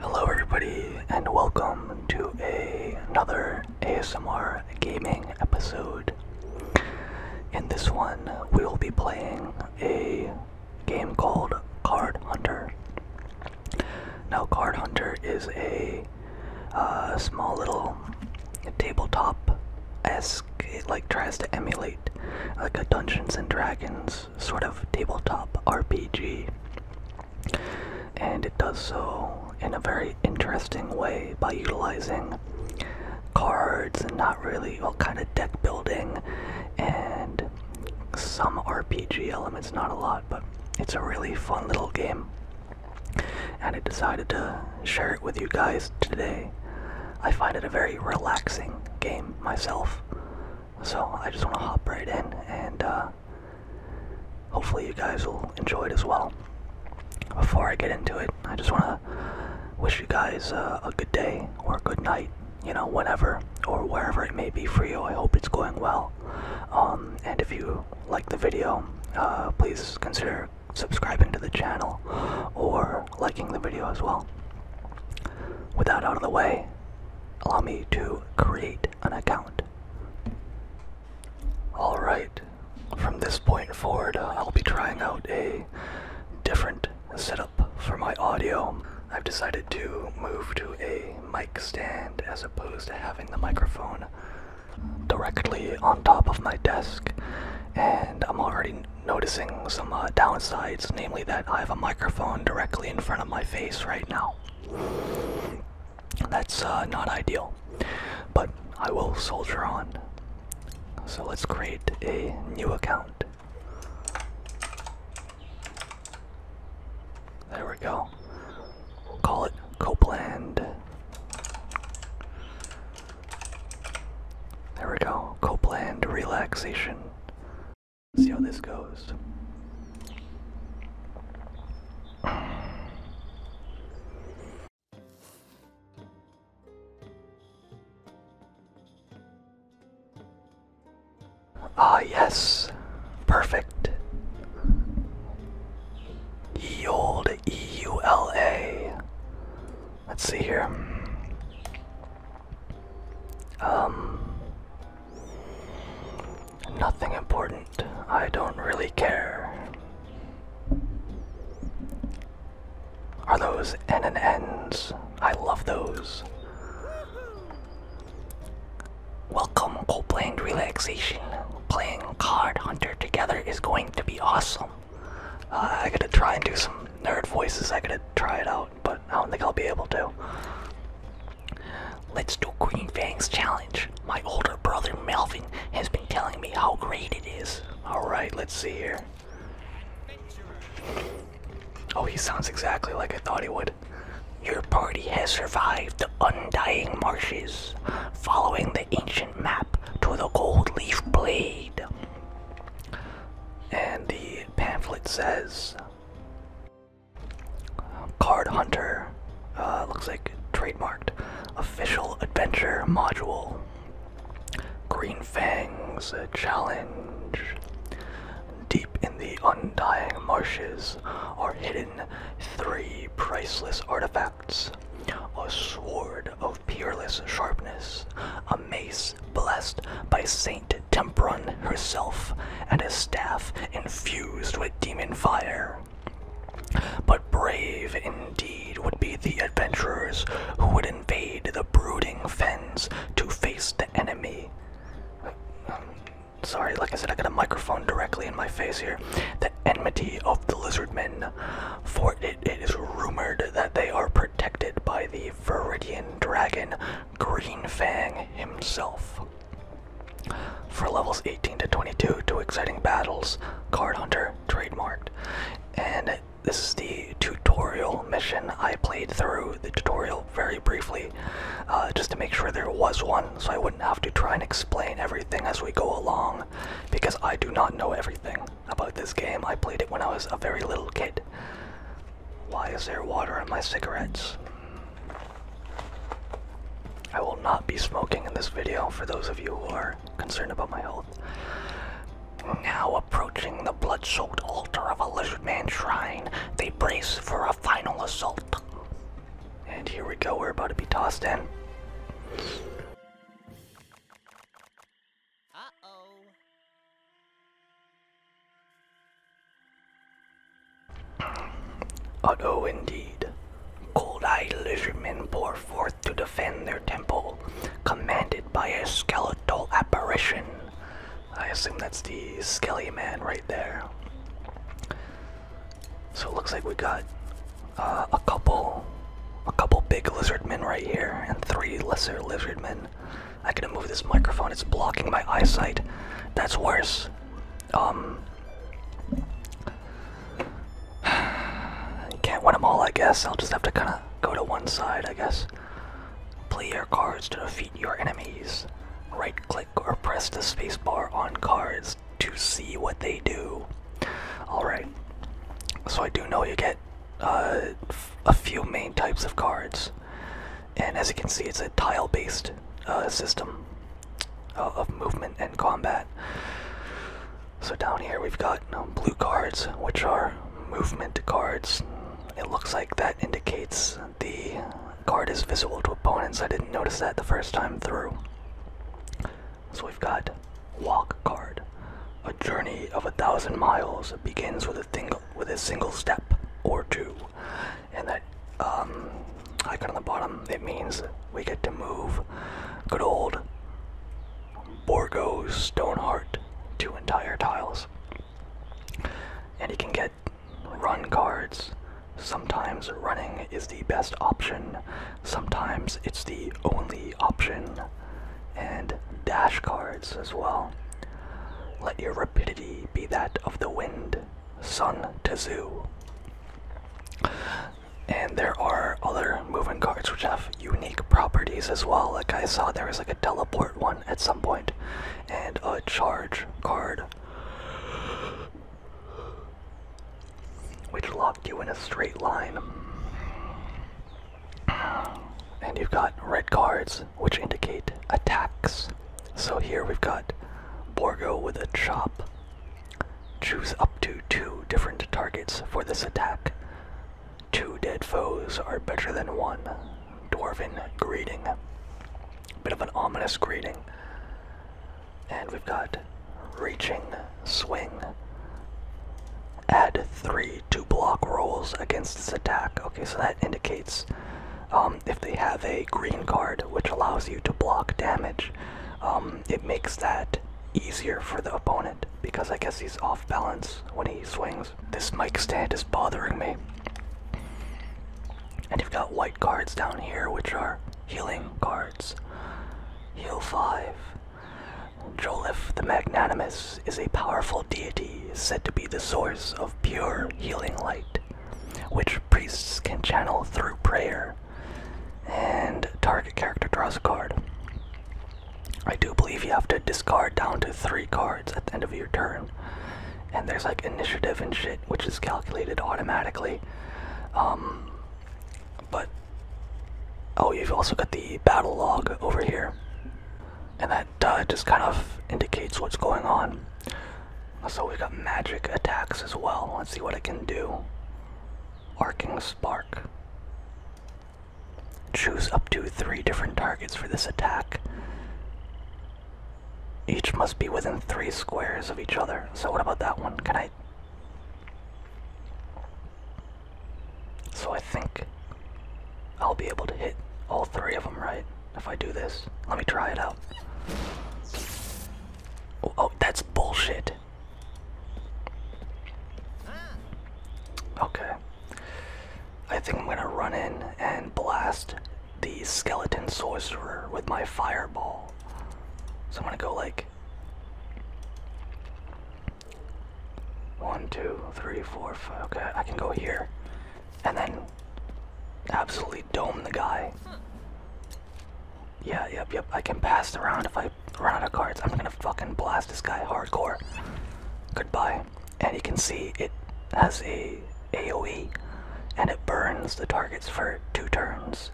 Hello, everybody, and welcome to another ASMR gaming episode. In this one, we will be playing a game called Card Hunter. Now, Card Hunter is a uh, small little tabletop s it like tries to emulate like a Dungeons and Dragons sort of tabletop RPG, and it does so in a very interesting way by utilizing cards and not really all kind of deck building and some RPG elements, not a lot, but it's a really fun little game and I decided to share it with you guys today. I find it a very relaxing game myself, so I just want to hop right in and uh, hopefully you guys will enjoy it as well. Before I get into it, I just want to wish you guys uh, a good day or a good night, you know, whenever or wherever it may be for you. I hope it's going well. Um, and if you like the video, uh, please consider subscribing to the channel or liking the video as well. With that out of the way, allow me to create an account. Alright, from this point forward, uh, I'll be trying out a different setup for my audio. I've decided to move to a mic stand as opposed to having the microphone directly on top of my desk, and I'm already noticing some uh, downsides, namely that I have a microphone directly in front of my face right now. That's uh, not ideal, but I will soldier on. So let's create a new account. There we go. We'll call it Copeland. There we go. Copeland relaxation. See how this goes. Ah, yes. Perfect. Ye old EULA. Let's see here. Um, nothing important. I don't really care. Are those N and N's? I love those. Welcome, to playing relaxation. Playing Card Hunter together is going to be awesome. Uh, I gotta try and do some nerd voices. I gotta try it out, but I don't think I'll be able to. Let's do Queen Fang's challenge. My older brother Melvin has been telling me how great it is. Alright, let's see here. Oh, he sounds exactly like I thought he would. Your party has survived the undying marshes. Following the ancient map to the gold leaf blade. And the pamphlet says Card Hunter, uh, looks like trademarked, official adventure module. Green Fangs challenge. Deep in the undying marshes are hidden three priceless artifacts a sword of peerless sharpness, a mace blessed by Saint Temperon herself, and a staff infused with demon fire. But brave indeed would be the adventurers who would invade the brooding fens to face the enemy. Sorry, like I said, I got a microphone directly in my face here. The enmity of the lizard men, for it it is rumored that they are protected by the Viridian dragon Green Fang himself. For levels 18 to 22, two exciting battles, Card Hunter trademarked. And this is the tutorial mission. I played through the tutorial very briefly uh, just to make sure there was one so I wouldn't have to try and explain everything as we go along because I do not know everything about this game. I played it when I was a very little kid. Why is there water on my cigarettes? I will not be smoking in this video for those of you who are concerned about my health. Now approaching the blood-soaked altar of a lizard man shrine, they brace for a final assault. And here we go, we're about to be tossed in. Uh-oh. Uh oh, indeed. Cold eyed Illusionmen pour forth to defend their temple, commanded by a skeletal apparition. I assume that's the skelly man right there. So it looks like we got uh, a couple, a couple big lizard men right here, and three lesser lizard men. I gotta move this microphone. It's blocking my eyesight. That's worse. Um, can't win them all, I guess. I'll just have to kind of go to one side, I guess. Play your cards to defeat your enemies. Right click or press the spacebar on cards to see what they do. Alright. So I do know you get uh, a few main types of cards. And as you can see, it's a tile based uh, system uh, of movement and combat. So down here we've got blue cards, which are movement cards. It looks like that indicates the card is visible to opponents. I didn't notice that the first time through. So we've got walk card. A journey of a thousand miles begins with a single with a single step or two, and that um, icon on the bottom it means we get to move good old Borgo Stoneheart two entire tiles, and you can get run cards. Sometimes running is the best option. Sometimes it's the only option and dash cards as well. Let your rapidity be that of the wind, Sun Tzu. And there are other moving cards which have unique properties as well. Like I saw there was like a teleport one at some point, and a charge card, which locked you in a straight line. And you've got red cards, which indicate attacks. So here we've got Borgo with a chop. Choose up to two different targets for this attack. Two dead foes are better than one. Dwarven greeting. Bit of an ominous greeting. And we've got reaching Swing. Add three to block rolls against this attack. Okay, so that indicates um, if they have a green card, which allows you to block damage, um, it makes that easier for the opponent because I guess he's off balance when he swings. This mic stand is bothering me. And you've got white cards down here, which are healing cards. Heal 5. Jolif the Magnanimous is a powerful deity said to be the source of pure healing light, which priests can channel through prayer. And target character draws a card. I do believe you have to discard down to three cards at the end of your turn. And there's like initiative and shit, which is calculated automatically. Um, but Oh, you've also got the battle log over here. And that uh, just kind of indicates what's going on. So we've got magic attacks as well. Let's see what it can do. Arcing Spark. Choose up to three different targets for this attack. Each must be within three squares of each other. So what about that one? Can I... So I think I'll be able to hit all three of them right if I do this. Let me try it out. Oh, oh that's bullshit. Okay. I think I'm gonna run in and blast the skeleton sorcerer with my fireball. So I'm gonna go like one, two, three, four, five. Okay, I can go here. And then absolutely dome the guy. Yeah, yep, yep. I can pass the round if I run out of cards. I'm gonna fucking blast this guy hardcore. Goodbye. And you can see it has a AoE and it burns the targets for two turns.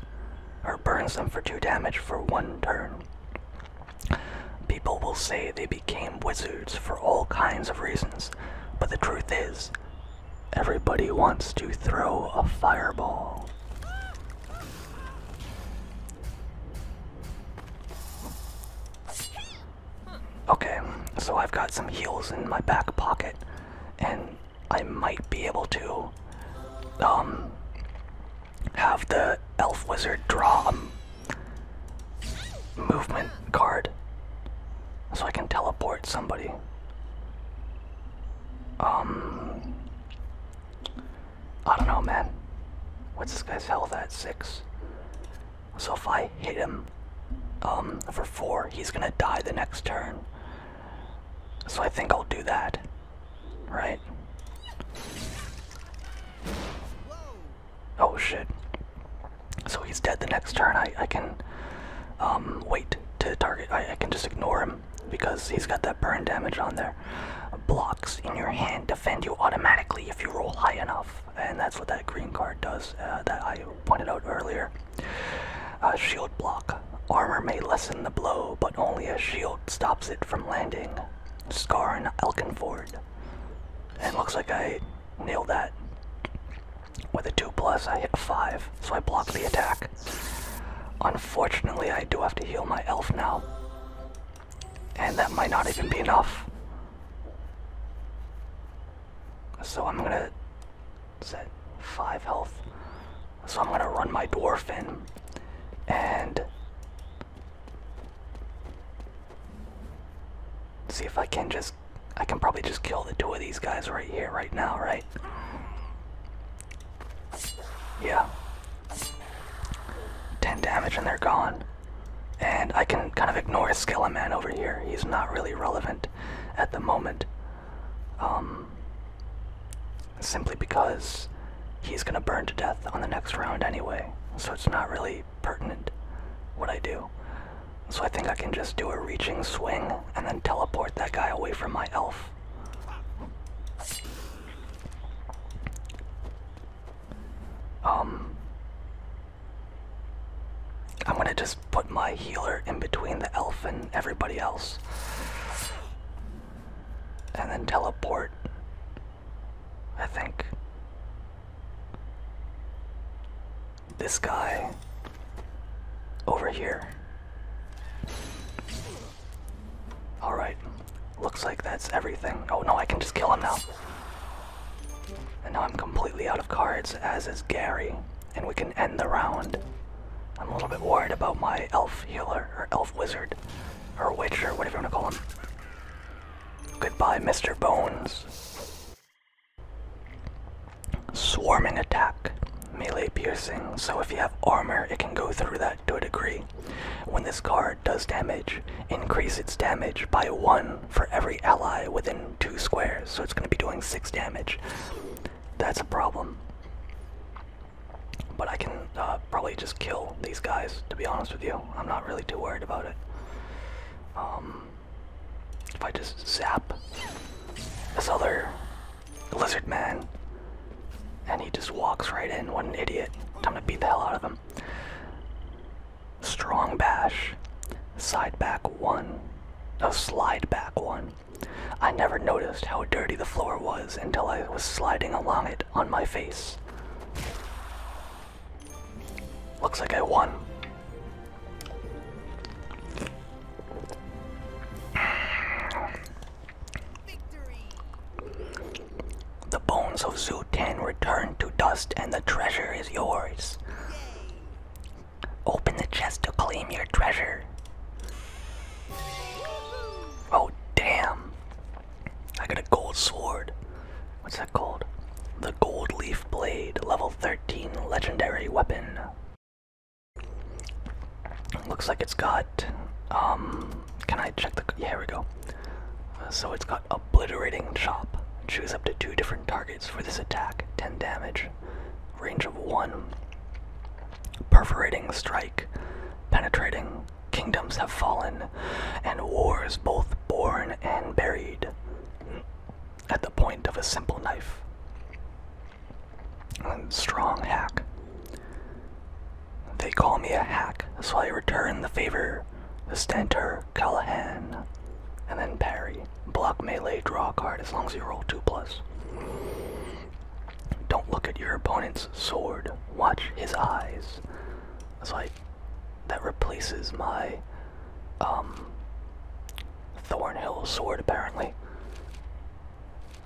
Or burns them for two damage for one turn. People will say they became wizards for all kinds of reasons, but the truth is, everybody wants to throw a fireball. Okay, so I've got some heals in my back pocket, and I might be able to um have the elf wizard draw a movement card so I can teleport somebody. Um, I don't know, man. What's this guy's health at? Six. So if I hit him um, for four, he's gonna die the next turn. So I think I'll do that, right? Oh shit. So he's dead the next turn. I, I can um, wait to target. I, I can just ignore him because he's got that burn damage on there. Blocks in your hand defend you automatically if you roll high enough. And that's what that green card does uh, that I pointed out earlier. shield block. Armor may lessen the blow, but only a shield stops it from landing. Scar and Elkinford. It looks like I nailed that. With a 2 plus, I hit a 5, so I block the attack. Unfortunately, I do have to heal my elf now. And that might not even be enough. So I'm gonna set 5 health. So I'm gonna run my dwarf in. And See if I can just. I can probably just kill the two of these guys right here, right now, right? Yeah. 10 damage and they're gone. And I can kind of ignore skela man over here. He's not really relevant at the moment. Um, simply because he's gonna burn to death on the next round anyway. So it's not really pertinent what I do. So I think I can just do a reaching swing and then teleport that guy away from my elf. Um I'm gonna just put my healer in between the elf and everybody else. And then teleport I think. This guy over here. Alright, looks like that's everything. Oh no, I can just kill him now. And now I'm completely out of cards, as is Gary, and we can end the round. I'm a little bit worried about my elf healer, or elf wizard, or witch, or whatever you want to call him. Goodbye, Mr. Bones. Swarming attack. Melee piercing, so if you have armor, it can go through that to a degree. When this card does damage, increase its damage by one for every ally within two squares, so it's going to be doing six damage. That's a problem. But I can uh, probably just kill these guys, to be honest with you. I'm not really too worried about it. Um, if I just zap this other lizard man, and he just walks right in, what an idiot. Time to beat the hell out of him. Strong bash, side back one, no slide back one. I never noticed how dirty the floor was until I was sliding along it on my face. Looks like I won. The bones of Zoo 10 return to dust and the treasure is yours. Open the chest to claim your treasure. Oh, damn. I got a gold sword. What's that called? The Gold Leaf Blade, level 13 legendary weapon. Looks like it's got. Um, can I check the. here we go. Uh, so it's got Obliterating Chop. Choose up to two different targets for this attack 10 damage, range of 1. Perforating Strike, penetrating kingdoms have fallen, and wars both born and buried at the point of a simple knife. a strong hack. They call me a hack, so I return the favor. The Stentor, Callahan, and then parry. Block melee, draw a card as long as you roll 2 plus. Don't look at your opponent's sword. Watch his eyes. That's why that replaces my um, Thornhill sword, apparently.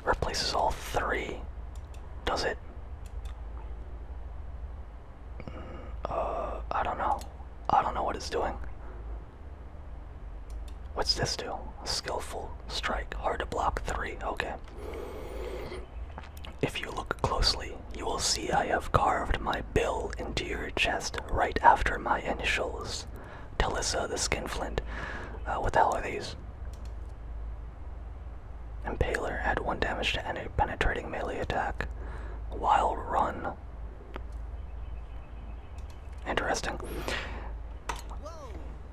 Replaces all three. Does it? Mm, uh, I don't know. I don't know what it's doing. What's this do? Skillful strike. Hard to block three. Okay. If you look closely, you will see I have carved my bill into your chest right after my initials. Talissa the Skinflint. Uh, what the hell are these? Impaler. Add one damage to any penetrating melee attack. Wild Run. Interesting.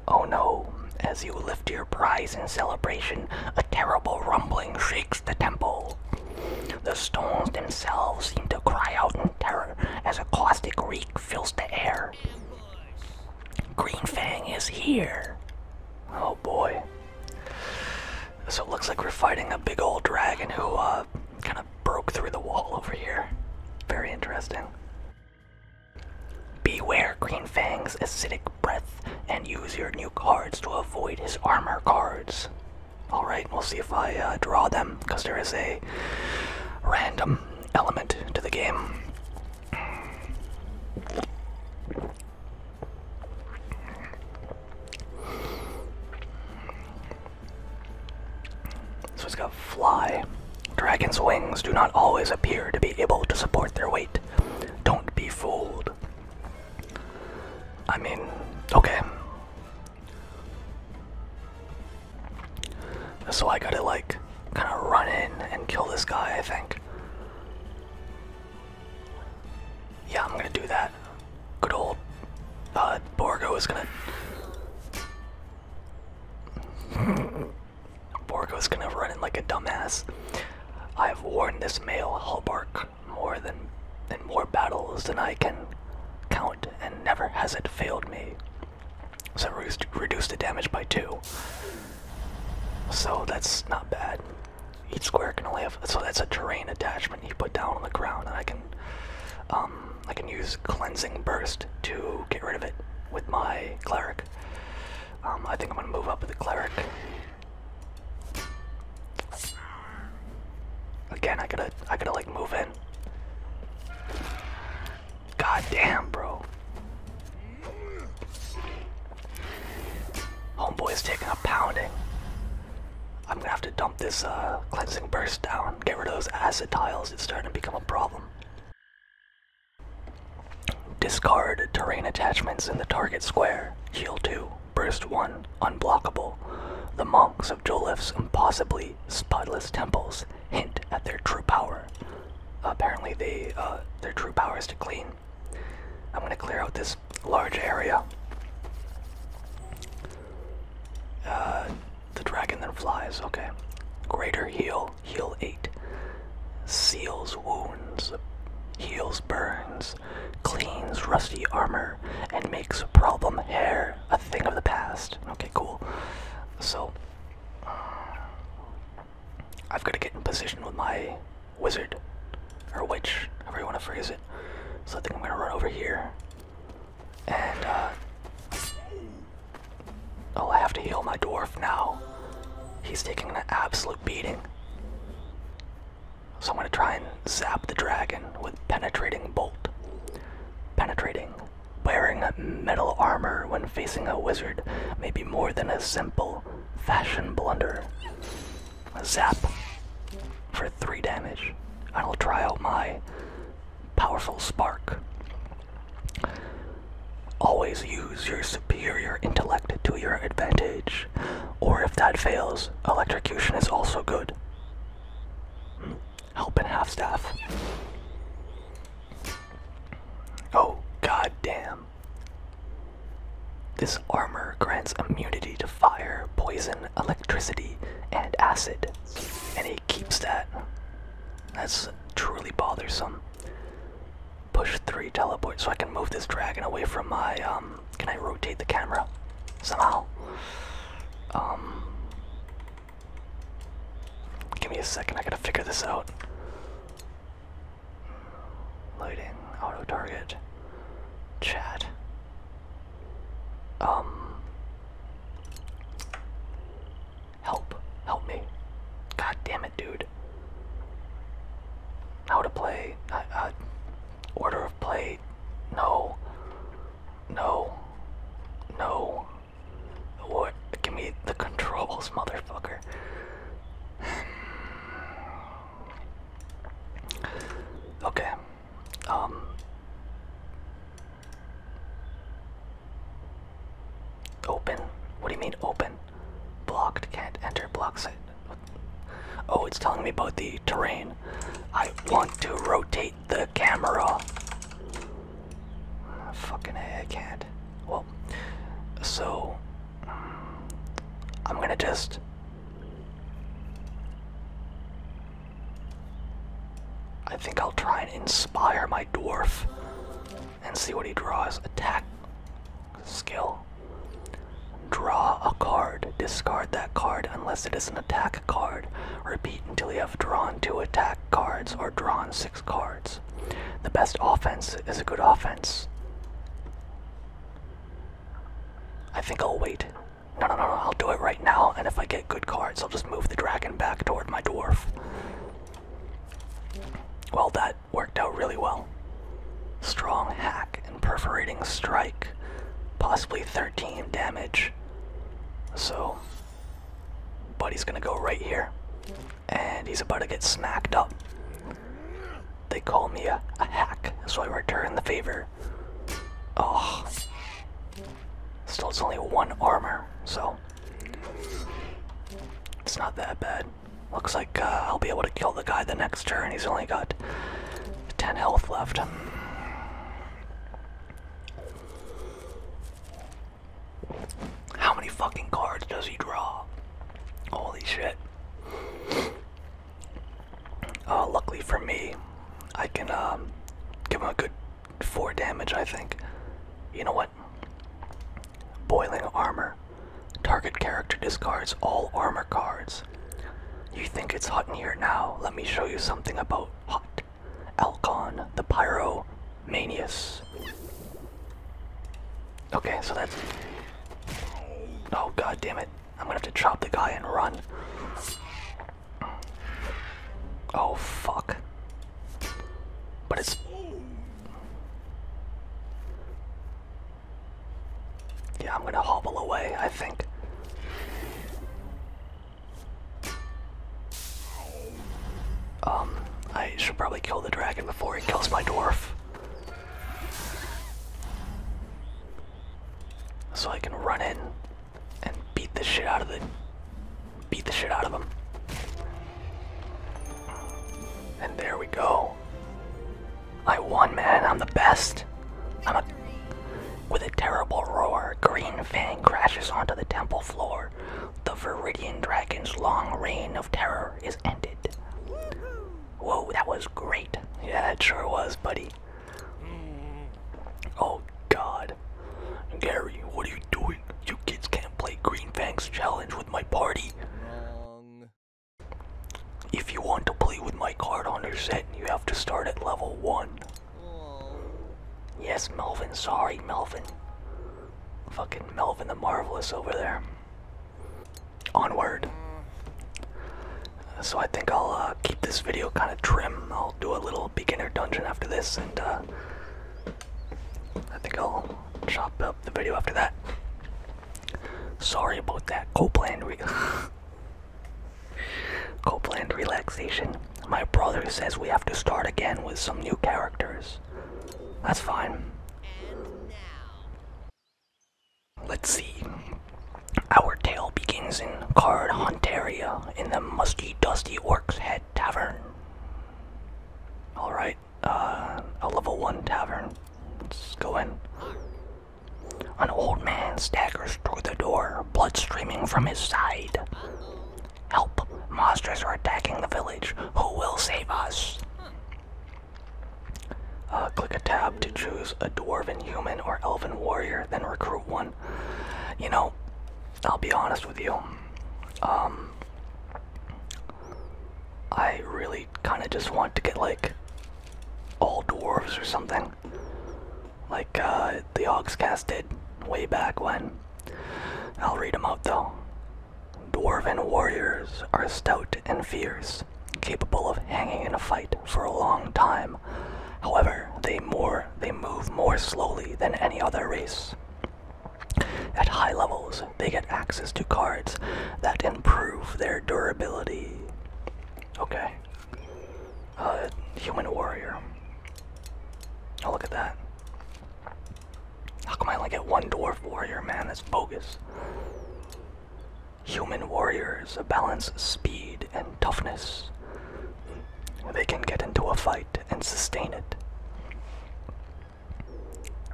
Oh no. As you lift your prize in celebration, a terrible rumbling shakes the temple. The stones themselves seem to cry out in terror as a caustic reek fills the air. Green Fang is here! Oh boy. So it looks like we're fighting a big old dragon who uh, kind of broke through the wall over here. Very interesting. Beware Green Fang's acidic breath and use your new cards to avoid his armor cards. Alright, we'll see if I uh, draw them, because there is a random element to the game. So it's got fly. Dragon's wings do not always appear to be able to support their weight. Don't be fooled. I mean, okay. So I gotta like kind of run in and kill this guy, I think. Yeah, I'm gonna do that. Good old uh, Borgo is gonna. Borgo is gonna run in like a dumbass. I have worn this male hallmark more than in more battles than I can count, and never has it failed me. So re reduce the damage by two. So that's not bad. Each square can only have so that's a terrain attachment you put down on the ground, and I can um, I can use cleansing burst to get rid of it with my cleric. Um, I think I'm gonna move up with the cleric Again, I gotta, I gotta like move in. Goddamn, bro. Homeboy's taking a pounding. I'm gonna have to dump this uh, cleansing burst down, get rid of those acid tiles. It's starting to become a problem. Discard terrain attachments in the target square. Heal 2. Burst 1 Unblockable. The monks of Joliffe's impossibly spotless temples hint at their true power. Apparently, they uh, their true power is to clean. I'm gonna clear out this large area. Uh, the dragon then flies. Okay. Greater heal. Heal eight. Seals wounds. Heals burns cleans rusty armor, and makes problem hair a thing of the past. Okay, cool. So, I've got to get in position with my wizard, or witch, however you want to phrase it. So I think I'm going to run over here. And, uh. Oh, I have to heal my dwarf now. He's taking an absolute beating. So I'm going to try and zap the dragon with Penetrating Bolt. Penetrating. Wearing metal armor when facing a wizard may be more than a simple fashion blunder. zap for 3 damage. I will try out my powerful spark. Always use your superior intellect to your advantage. Or if that fails, electrocution is also good. Help and half staff. Oh, god damn. This armor grants immunity to fire, poison, electricity, and acid. And he keeps that. That's truly bothersome. Push three teleport so I can move this dragon away from my um can I rotate the camera somehow? Um, give me a second. I gotta figure this out. Lighting, auto target, chat. Um, help, help me. God damn it, dude. How to play? I, I, Order of play. No. No. No. What? Give me the controls, motherfucker. okay. Um. Open. What do you mean open? Blocked. Can't enter. Blocks it. Oh, it's telling me about the terrain. I want to rotate the camera. Uh, fucking I can't. Well, so I'm gonna just. I think I'll try and inspire my dwarf and see what he draws. Attack skill. Draw a card. Discard that card unless it is an attack card. Repeat until you have drawn two attack cards or drawn six cards. The best offense is a good offense. I think I'll wait. No, no, no, no, I'll do it right now, and if I get good cards, I'll just move the dragon back toward my dwarf. Well, that worked out really well. Strong hack attack perforating strike, possibly 13 damage. So, Buddy's gonna go right here, and he's about to get smacked up. They call me a, hack, so I return the favor. Oh, still it's only one armor, so it's not that bad. Looks like uh, I'll be able to kill the guy the next turn. He's only got 10 health left. How many fucking cards does he draw? Holy shit. Uh, luckily for me, I can um, give him a good 4 damage, I think. You know what? Boiling Armor. Target character discards all armor cards you think it's hot in here now? Let me show you something about hot. Alcon, the Pyromanius. Okay, so that's. Oh god damn it. I'm gonna have to chop the guy and run. Oh fuck. But it's. Yeah, I'm gonna hobble away, I think. Um, I should probably kill the dragon before he kills my dwarf. So I can run in and beat the shit out of the beat the shit out of him. And there we go. I won, man. I'm the best. with a terrible roar, Green Fang crashes onto the temple floor. The Viridian Dragon's long reign of terror is ended. Whoa, that was great. Yeah, that sure was, buddy. Oh, God. Gary, what are you doing? You kids can't play Green Fang's challenge with my party. If you want to play with my card on your set, you have to start at level 1. Yes, Melvin. Sorry, Melvin. Fucking Melvin the Marvelous over there. Onward. So I think I'll uh, keep this video kind of trim. I'll do a little beginner dungeon after this, and uh, I think I'll chop up the video after that. Sorry about that. Copeland. Copeland relaxation. My brother says we have to start again with some new characters. That's fine. And now. Let's see. Our tale begins in Card Hontaria in the Musty Dusty Orc's Head Tavern. Alright, uh, a level 1 tavern. Let's go in. An old man staggers through the door, blood streaming from his side. Help! Monsters are attacking the village. Who will save us? Uh, click a tab to choose a dwarven human or elven warrior, then recruit one. You know, I'll be honest with you. Um, I really kind of just want to get like all dwarves or something like uh, the Hogscast did way back when. I'll read them out though. Dwarven warriors are stout and fierce, capable of hanging in a fight for a long time. However, they more they move more slowly than any other race. At high levels, they get access to cards that improve their durability. Okay. A uh, human warrior. Oh, look at that. How come I only get one dwarf warrior, man? That's bogus. Human warriors balance speed and toughness. They can get into a fight and sustain it.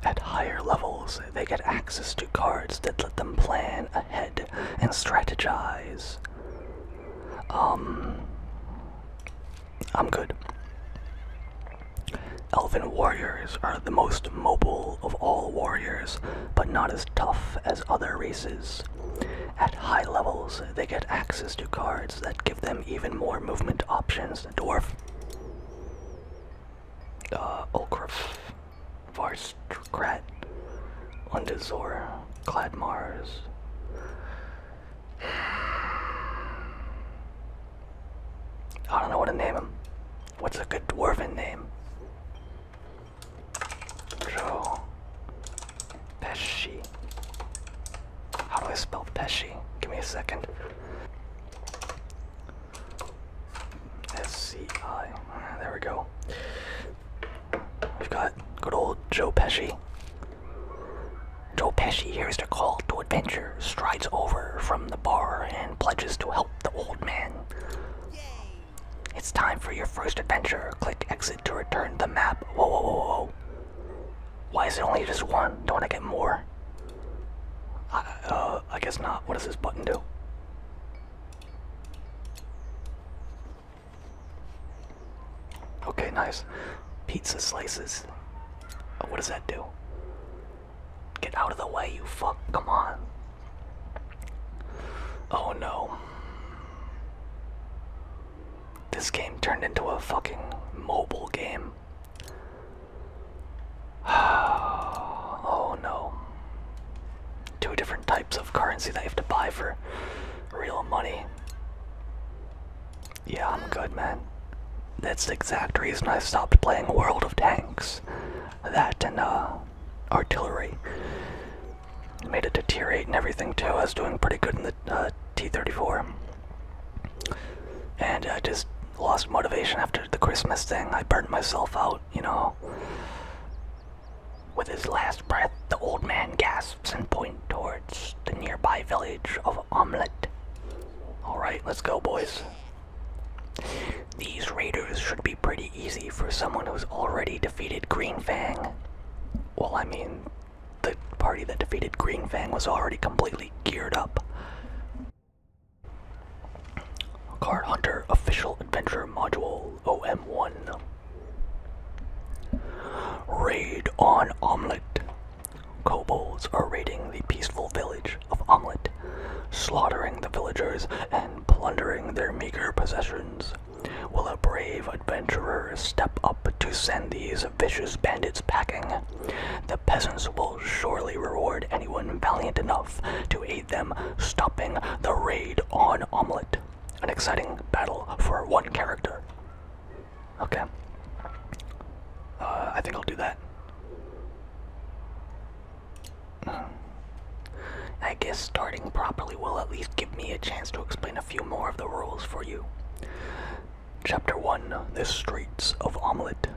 At higher levels, they get access to cards that let them plan ahead and strategize. Um, I'm good. Elven warriors are the most mobile of all warriors, but not as tough as other races. At high levels, they get access to cards that give them even more movement options. Dwarf. Uh, Ulcruff. Varstrat, Lundazor, Cladmars. I don't know what to name him. What's a good dwarven name? Peshi. How do I spell Peshi? Give me a second. S C I. There we go. We've got good old Joe Pesci. Joe Pesci hears the call to adventure, strides over from the bar, and pledges to help the old man. Yay. It's time for your first adventure. Click exit to return the map. Whoa, whoa, whoa, whoa. Why is it only just one? Don't I get more? uh, I guess not. What does this button do? Okay, nice. Pizza slices. Oh, what does that do? Get out of the way, you fuck. Come on. Oh no. This game turned into a fucking mobile game. oh no two different types of currency that you have to buy for real money. Yeah, I'm good, man. That's the exact reason I stopped playing World of Tanks. That and, uh, artillery. Made it deteriorate and everything, too. I was doing pretty good in the uh, T-34. And I just lost motivation after the Christmas thing. I burnt myself out, you know. With his last breath, the old man gasps and points towards the nearby village of Omelette. Alright, let's go, boys. These raiders should be pretty easy for someone who's already defeated Green Fang. Well, I mean, the party that defeated Green Fang was already completely geared up. Card Hunter Official Adventure Module. OM1. Raid on Omelette. Kobolds are raiding the peaceful village of Omelette, slaughtering the villagers and plundering their meager possessions. Will a brave adventurer step up to send these vicious bandits packing? The peasants will surely reward anyone valiant enough to aid them stopping the raid on Omelette. An exciting battle for one character. Okay. Uh, I think I'll do that. Hmm. I guess starting properly will at least give me a chance to explain a few more of the rules for you. Chapter 1 The Streets of Omelette.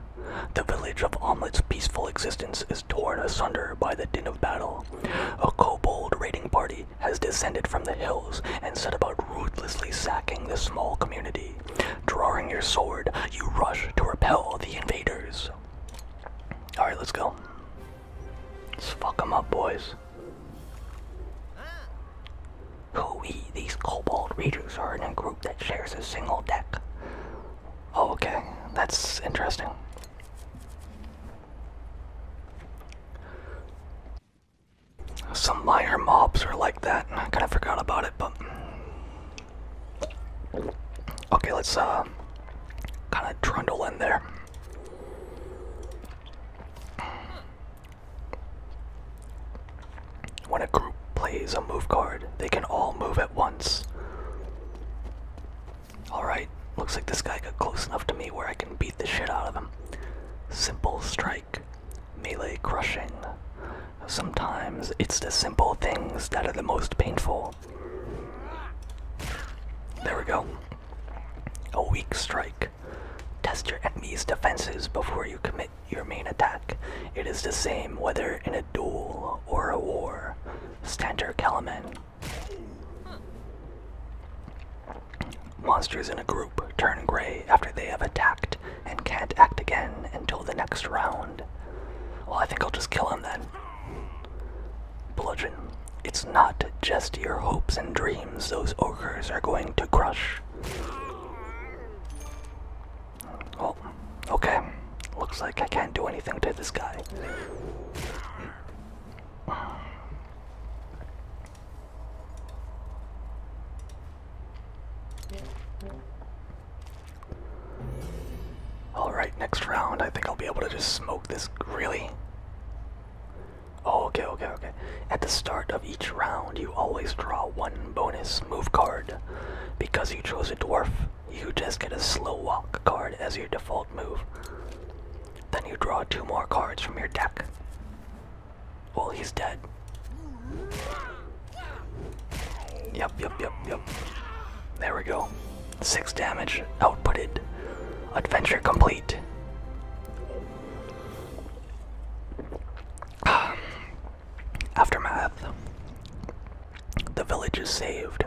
The village of Omelette's peaceful existence is torn asunder by the din of battle. A kobold raiding party has descended from the hills and set about ruthlessly sacking the small community. Drawing your sword, you rush to repel the invaders. Alright, let's go. Let's fuck them up, boys. Hooey, these Cobalt Raiders are in a group that shares a single deck. Oh, okay. That's interesting. Some minor mobs are like that. I kind of forgot about it, but okay, let's uh, kind of trundle in there. When a group plays a move card, they can all move at once. Alright, looks like this guy got close enough to me where I can beat the shit out of him. Simple strike, melee crushing. Sometimes it's the simple things that are the most painful. There we go. A weak strike. Test your enemy's defenses before you commit your main attack. It is the same whether in a duel or a war. Stander Kalaman Monsters in a group turn gray after they have attacked and can't act again until the next round. Well, I think I'll just kill him then. Bludgeon. It's not just your hopes and dreams those ogres are going to crush. Well, okay. Looks like I can't do anything to this guy. Alright, next round I think I'll be able to just smoke this really. Oh, okay, okay, okay. At the start of each round, you always draw one bonus move card. Because you chose a dwarf, you just get a slow walk card as your default move. Then you draw two more cards from your deck. Well, he's dead. Yep, yep, yep, yep. There we go. Six damage outputted. Adventure complete. Aftermath. The village is saved,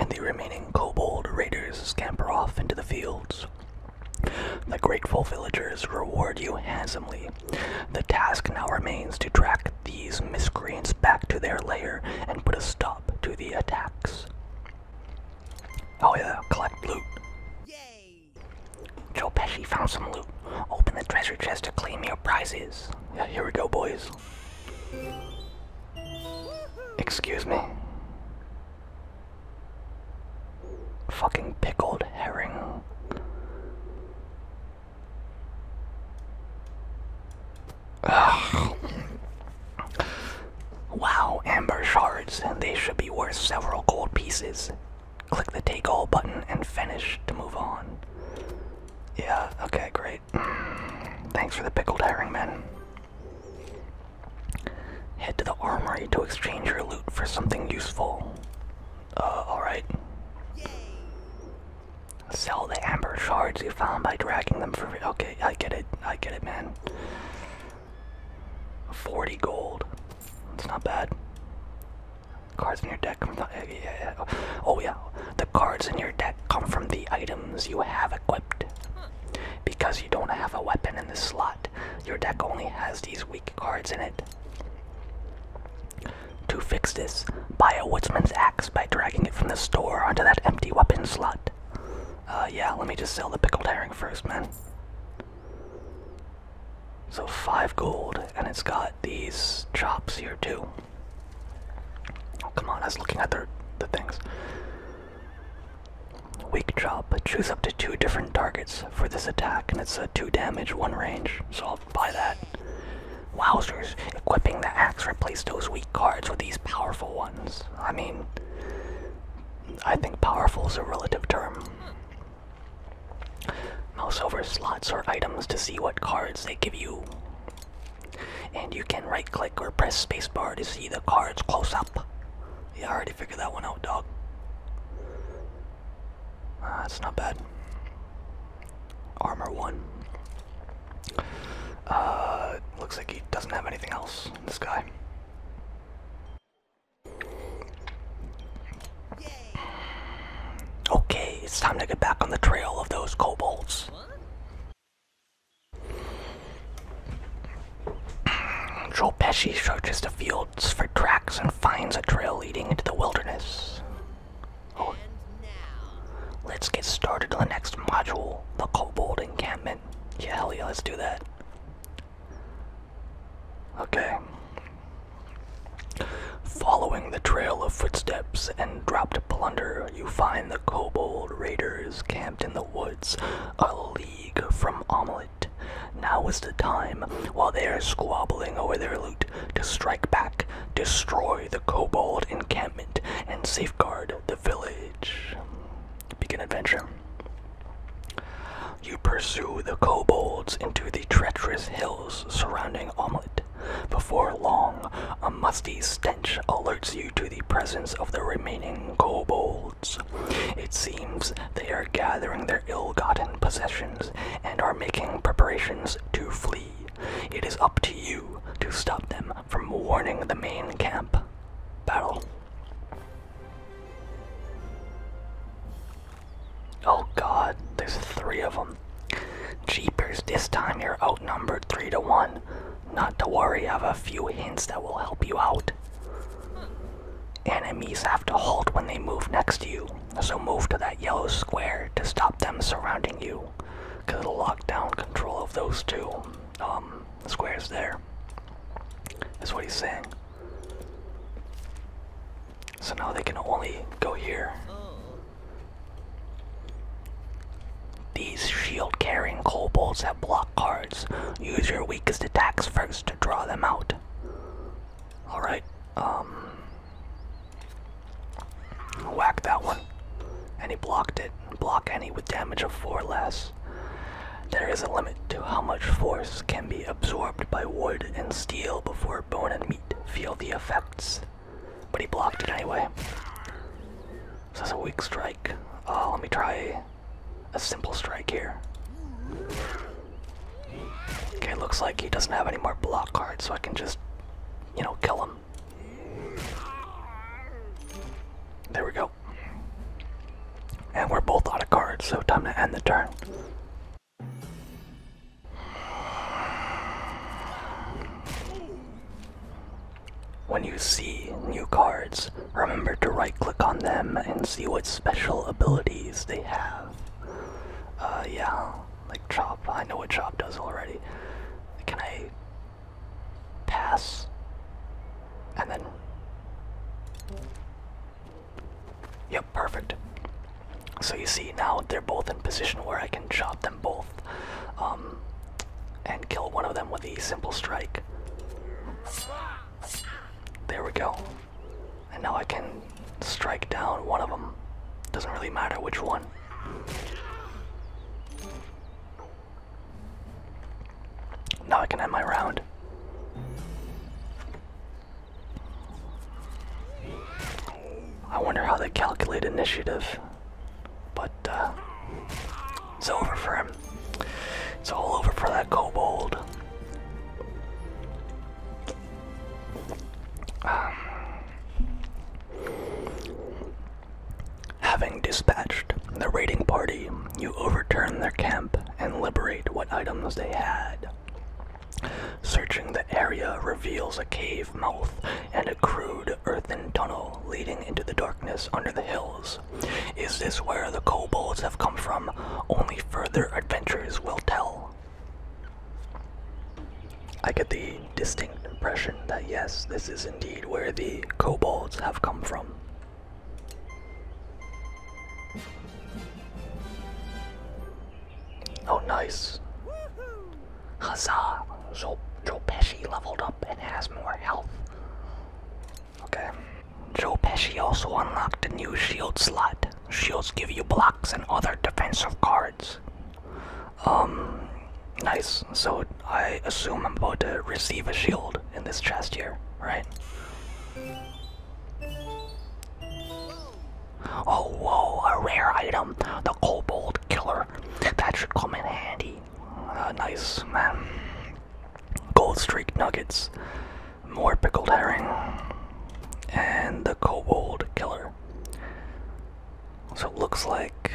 and the remaining kobold raiders scamper off into the fields. The grateful villagers reward you handsomely. The task now remains to track these miscreants back to their lair and put a stop to the attacks. Oh yeah, collect loot. Yay! Joe Pesci found some loot. Open the treasure chest to claim your prizes. Yeah, here we go, boys. Excuse me. Fucking pickled herring. Wow, amber shards, and they should be worth several gold pieces. Click the take all button and finish to move on. Yeah, okay, great. Thanks for the pickled herring, man. Head to the armory to exchange your loot for something useful. Uh, alright. Sell the amber shards you found by dragging them for. Okay, I get it. I get it, man. 40 gold. That's not bad. Cards in your deck come from the, Oh yeah, the cards in your deck come from the items you have equipped. Because you don't have a weapon in the slot, your deck only has these weak cards in it. To fix this, buy a Woodsman's Axe by dragging it from the store onto that empty weapon slot. Uh, yeah, let me just sell the pickled herring first, man. So, five gold, and it's got these chops here, too. Oh, come on, I was looking at the, the things. Weak drop, choose up to two different targets for this attack, and it's a two damage, one range, so I'll buy that. Wowzers, equipping the axe replaced those weak cards with these powerful ones. I mean, I think powerful is a relative term. Mouse over slots or items to see what cards they give you. And you can right click or press spacebar to see the cards close up. Yeah, Figure that one out, dog. Ah, that's not bad. Armor one. Uh, looks like he doesn't have anything else. This guy. Okay, it's time to get back on the trail of those kobolds. Joel Pesci searches the fields for tracks and finds a trail leading into the wilderness. Oh. Let's get started on the next module, the Kobold Encampment. Yeah, yeah, let's do that. Okay. Following the trail of footsteps and dropped plunder, you find the Kobold Raiders camped in the woods, a league from Amelie. Now is the time, while they are squabbling over their loot, to strike back, destroy the kobold encampment, and safeguard the village. Begin adventure. You pursue the kobolds into the treacherous hills surrounding Omelette. Before long, a musty stench alerts you to the presence of the remaining kobolds. It seems they are gathering their ill gotten possessions and are making preparations to flee. It is up to you to stop them from warning the main camp. Battle. Oh god, there's three of them. Jeepers, this time you're outnumbered three to one. Not to worry, I have a few hints that will help you out. Enemies have to halt when they move next to you, so move to that yellow square to stop them surrounding you, because it'll lock down control of those two um, squares there. That's what he's saying. So now they can only go here. These shield carrying kobolds have blocked cards. Use your weakest attacks first to draw them out. Alright, um, Whack that one. And he blocked it. Block any with damage of 4 less. There is a limit to how much force can be absorbed by wood and steel before bone and meat feel the effects. But he blocked it anyway. This is a weak strike. Uh, let me try a simple strike here. Okay, looks like he doesn't have any more block cards, so I can just, you know, kill him. There we go. And we're both out of cards, so time to end the turn. When you see new cards, remember to right click on them and see what special abilities they have. Uh, yeah, like Chop. I know what Chop does already. Can I pass? And then. Yep, perfect. So you see now they're both in position where I can chop them both um, and kill one of them with a simple strike. There we go. And now I can strike down one of them. Doesn't really matter which one. Now I can end my round. I wonder how they calculate initiative, but uh, it's over for him. It's all over for that kobold. Um, having dispatched the raiding party, you overturn their camp and liberate what items they had. Searching the area reveals a cave mouth and a crude earthen tunnel leading into the darkness under the hills. Is this where the kobolds have come from? Only further adventures will tell. I get the distinct impression that yes, this is indeed where the kobolds have come from. Oh, nice. Huzzah! Joe Pesci leveled up and has more health. Okay. Joe Pesci also unlocked a new shield slot. Shields give you blocks and other defensive cards. Um, nice. So I assume I'm about to receive a shield in this chest here, right? Oh, whoa, a rare item. The Kobold Killer. That should come in handy. Uh, nice, man gold streak nuggets, more pickled herring, and the kobold killer. So it looks like.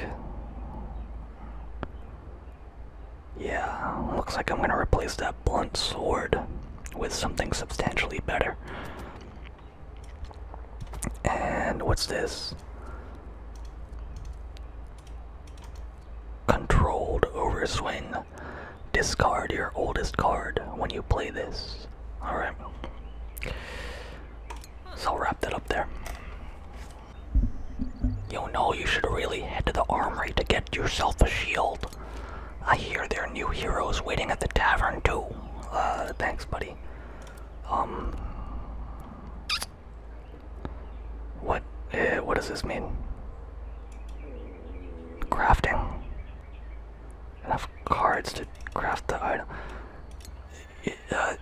Yeah, looks like I'm gonna replace that blunt sword with something substantially better. And what's this? Controlled overswing Discard your oldest card when you play this. Alright. So I'll wrap that up there. You know you should really head to the armory to get yourself a shield. I hear there are new heroes waiting at the tavern too. Uh, thanks buddy. Um... What, eh, what does this mean? crafting enough cards to craft the item. Uh,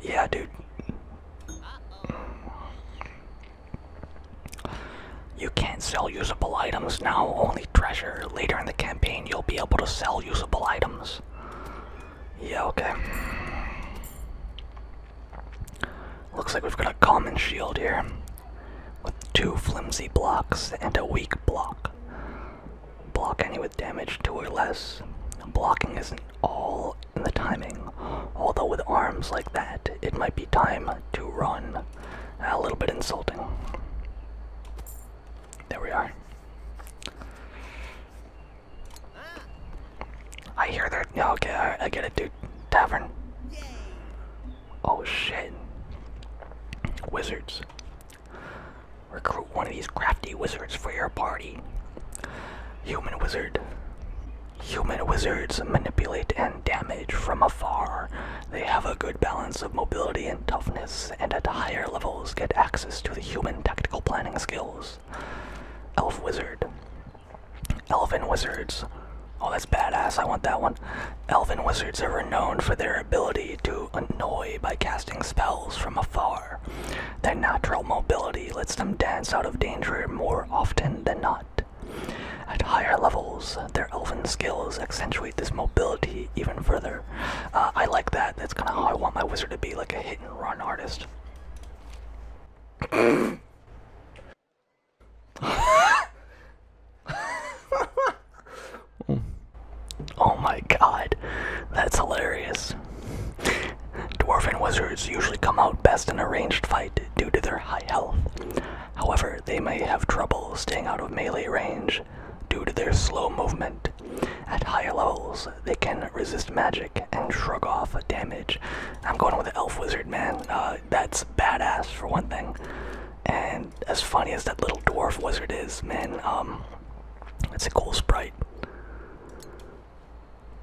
yeah, dude. You can't sell usable items now, only treasure. Later in the campaign, you'll be able to sell usable items. Yeah, okay. Looks like we've got a common shield here with two flimsy blocks and a weak block. Block any with damage two or less. Blocking isn't all in the timing, although with arms like that, it might be time to run. A little bit insulting. There we are. I hear that. No, okay, I, I get it, dude tavern. Oh shit. Wizards. Recruit one of these crafty wizards for your party. Human wizard. Human wizards manipulate and damage from afar. They have a good balance of mobility and toughness, and at higher levels get access to the human tactical planning skills. Elf wizard. Elven wizards. Oh, that's badass. I want that one. Elven wizards are renowned for their ability to annoy by casting spells from afar. Their natural mobility lets them dance out of danger more often than not. At higher levels, their elven skills accentuate this mobility even further. Uh, I like that. That's kind of how I want my wizard to be, like a hit and run artist. oh my god, that's hilarious. Dwarven wizards usually come out best in a ranged fight due to their high health. However, they may have trouble staying out of melee range due to their slow movement. At higher levels, they can resist magic and shrug off damage. I'm going with the elf wizard, man. Uh, that's badass for one thing. And as funny as that little dwarf wizard is, man, um, it's a cool sprite.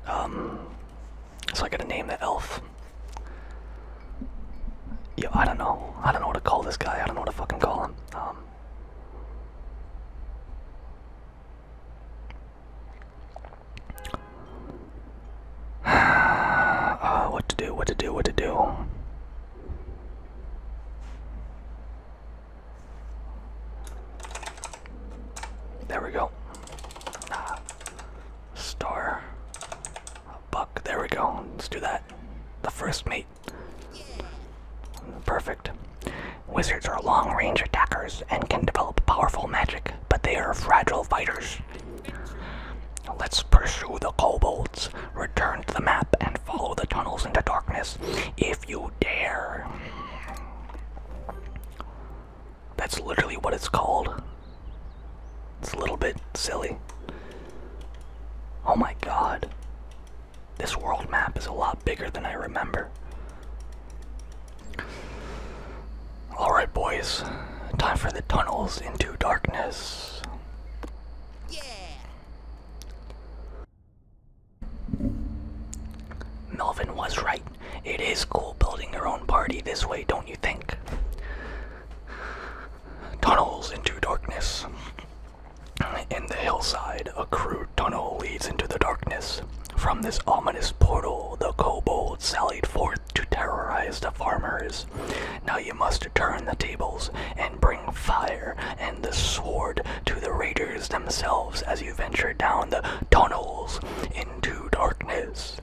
Um, so I gotta name the elf. Yeah, I don't know. I don't know what to call this guy. I don't know what to fucking call him. Um, Uh, what to do, what to do, what to do. There we go. Ah, star. buck. There we go. Let's do that. The first mate. Perfect. Wizards are long range attackers and can develop powerful magic, but they are fragile fighters. Let's pursue the kobolds. Return to the map and follow the tunnels into darkness if you dare. That's literally what it's called. It's a little bit silly. Oh my god. This world map is a lot bigger than I remember. Alright, boys. Time for the tunnels into darkness. Yeah! Melvin was right. It is cool building your own party this way, don't you think? Tunnels into darkness. In the hillside, a crude tunnel leads into the darkness. From this ominous portal, the kobolds sallied forth to terrorize the farmers. Now you must turn the tables and bring fire and the sword to the raiders themselves as you venture down the tunnels into darkness.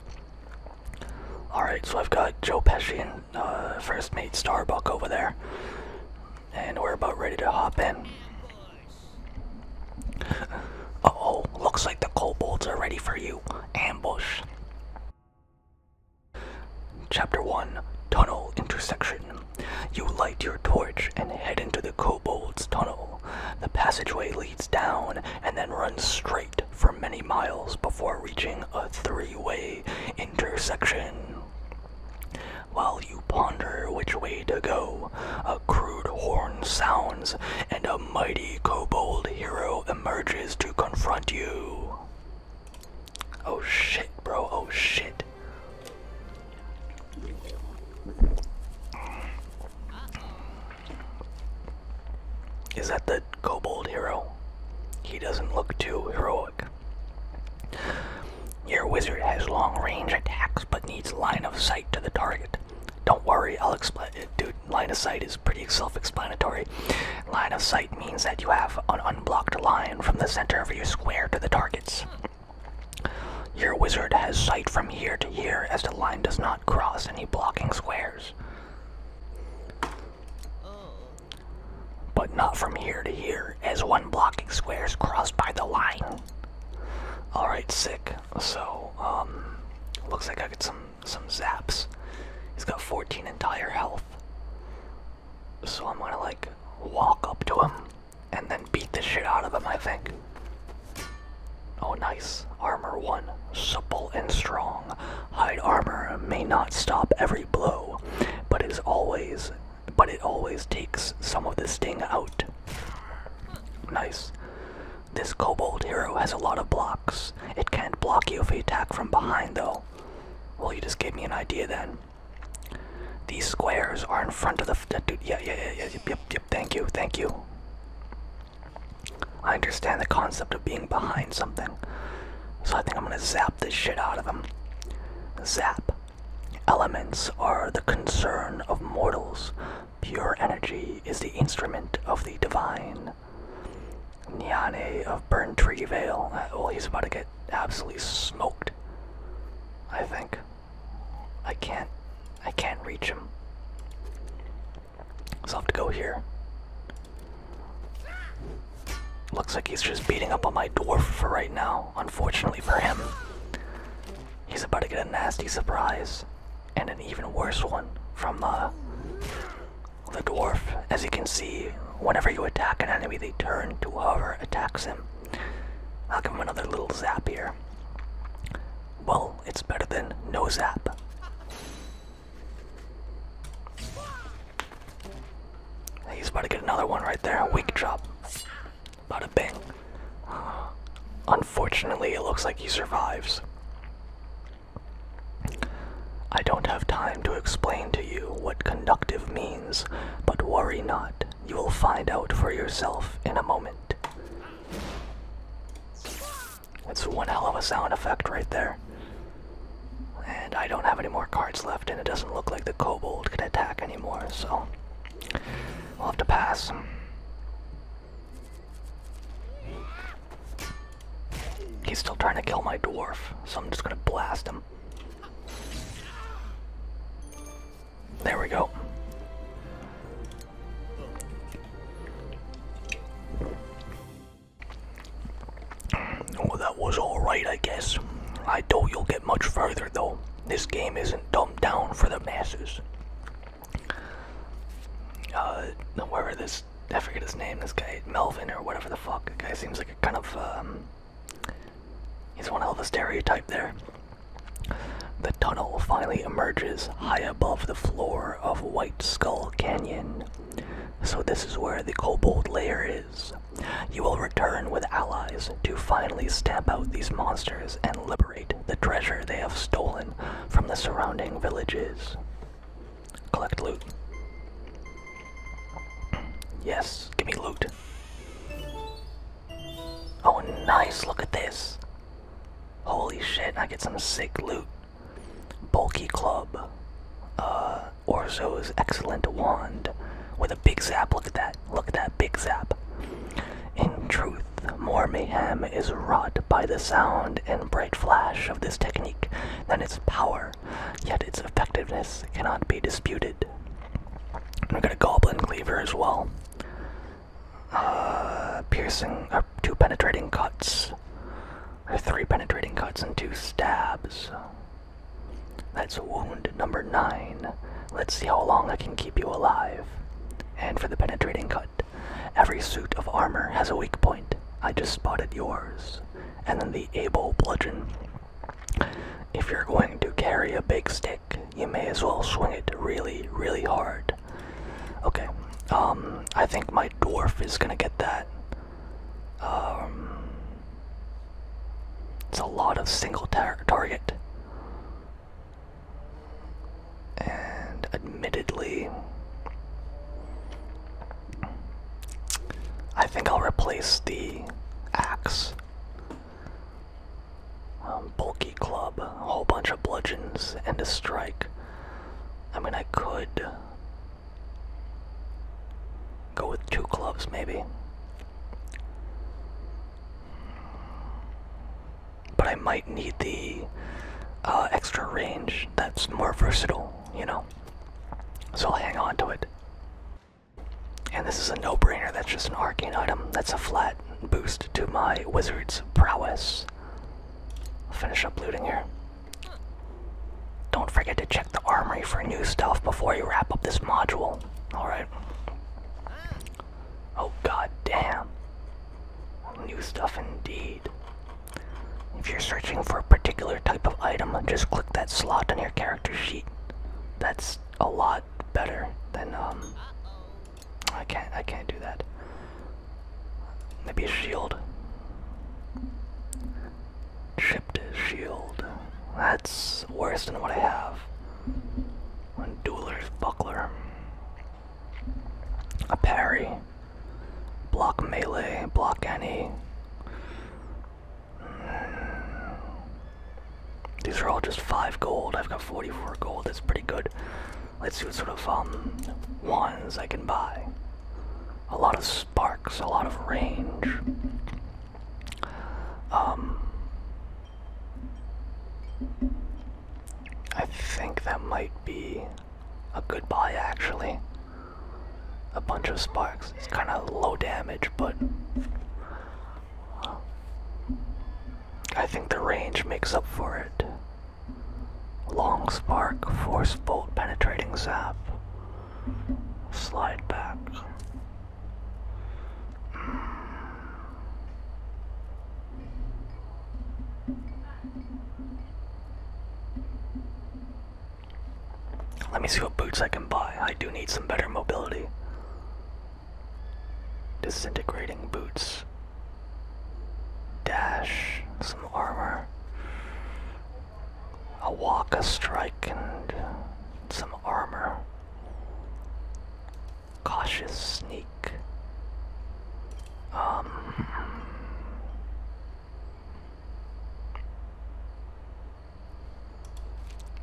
Alright, so I've got Joe Pesci and uh, First Mate Starbuck over there. And we're about ready to hop in. oh, looks like the kobolds are ready for you. Ambush. Chapter 1 Tunnel Intersection You light your torch and head into the Kobold's Tunnel. The passageway leads down and then runs straight for many miles before reaching a three way intersection. While you ponder which way to go, a crude horn sounds and a mighty kobold hero emerges to confront you. Oh shit, bro. Oh shit. Is that the kobold hero? He doesn't look too heroic. Your wizard has long range attacks but needs line of sight to the target. Don't worry, I'll explain it, uh, dude line of sight is pretty self-explanatory. Line of sight means that you have an unblocked line from the center of your square to the targets. Your wizard has sight from here to here as the line does not cross any blocking squares. But not from here to here, as one blocking square is crossed by the line. Alright, sick. So, um, looks like I get some some zaps. He's got 14 entire health. So I'm gonna like walk up to him and then beat the shit out of him, I think. Oh, nice. Armor 1. Supple and strong. Hide armor may not stop every blow, but it is always but it always takes some of the sting out. Nice. This kobold hero has a lot of blocks. It can't block you if you attack from behind though, circle. Well, you just gave me an idea then. These squares are in front of the. F dude, yeah, yeah, yeah, yeah, yep, yep, thank you, thank you. I understand the concept of being behind something. So I think I'm gonna zap this shit out of him. Zap. Elements are the concern of mortals. Pure energy is the instrument of the divine on Niane of Burn Tree Vale. Uh, well, he's about to get absolutely smoked. I think. I can't. I can't reach him. So I'll have to go here. Looks like he's just beating up on my dwarf for right now, unfortunately for him. He's about to get a nasty surprise, and an even worse one from, the. Uh, the dwarf, as you can see, whenever you attack an enemy, they turn to hover, attacks him. I'll give him another little zap here. Well, it's better than no zap. He's about to get another one right there. Weak drop. About to bang. Unfortunately, it looks like he survives. I don't have time to explain to you what conductive means, but worry not, you will find out for yourself in a moment. That's one hell of a sound effect right there. And I don't have any more cards left, and it doesn't look like the kobold can attack anymore, so we'll have to pass. He's still trying to kill my dwarf, so I'm just gonna blast him. There we go. Well, oh, that was alright, I guess. I doubt you'll get much further, though. This game isn't dumbed down for the masses. Uh, where this I forget his name, this guy Melvin or whatever the fuck. The guy seems like a kind of um he's one of the stereotype there. The tunnel finally emerges high above the floor of White Skull Canyon. So this is where the kobold lair is. You will return with allies to finally stamp out these monsters and liberate the treasure they have stolen from the surrounding villages. Collect loot. Yes, give me loot. Oh, nice, look at this. Holy shit, I get some sick loot. Bulky club. Uh, Orzo's excellent wand. With a big zap, look at that. Look at that big zap. In truth, more mayhem is wrought by the sound and bright flash of this technique than its power yet its effectiveness cannot be disputed. And we've got a Goblin Cleaver as well. Uh, piercing, uh, two penetrating cuts, or three penetrating cuts and two stabs. That's wound number nine. Let's see how long I can keep you alive. And for the penetrating cut, every suit of armor has a weak point. I just spotted yours and then the able bludgeon. If you're going to carry a big stick, you may as well swing it really, really hard. Okay, um, I think my dwarf is gonna get that. Um, it's a lot of single target. And admittedly, I think I'll replace the axe. Um, bulky club, a whole bunch of bludgeons, and a strike. I mean, I could go with two clubs, maybe. But I might need the uh, extra range that's more versatile, you know? So I'll hang on to it. And this is a no brainer, that's just an arcane item. That's a flat boost to my wizard's prowess. I'll finish up looting here. Don't forget to check the armory for new stuff before you wrap up this module. Alright. Oh god damn. New stuff indeed. If you're searching for a particular type of item, just click that slot on your character sheet. That's a lot better than um. I can't. I can't do that. Maybe a shield. Chipped shield. That's worse than what I have. A dueler's buckler. A parry. Block melee, block any. These are all just 5 gold. I've got 44 gold. That's pretty good. Let's see what sort of um, wands I can buy. A lot of sparks, a lot of range. Um, I think that might be a good buy actually a bunch of sparks. It's kind of low damage, but I think the range makes up for it. Long spark, force bolt, penetrating zap. Slide back. Let me see what boots I can buy. I do need some better mobility. Disintegrating boots. Dash. Some armor. A walk, a strike, and some armor. Cautious sneak. Um.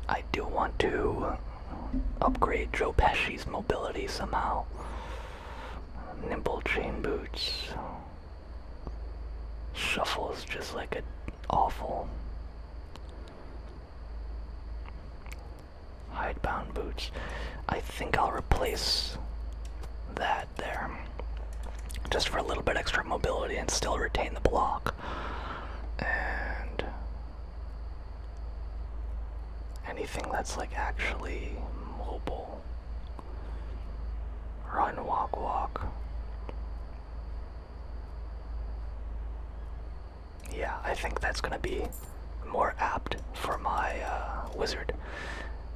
I do want to upgrade Joe Pesci's mobility somehow. Nimble chain boots. shuffles just like an awful. Hidebound boots. I think I'll replace that there. Just for a little bit extra mobility and still retain the block. And anything that's like actually mobile. Run, walk, walk. Yeah, I think that's gonna be more apt for my uh, wizard.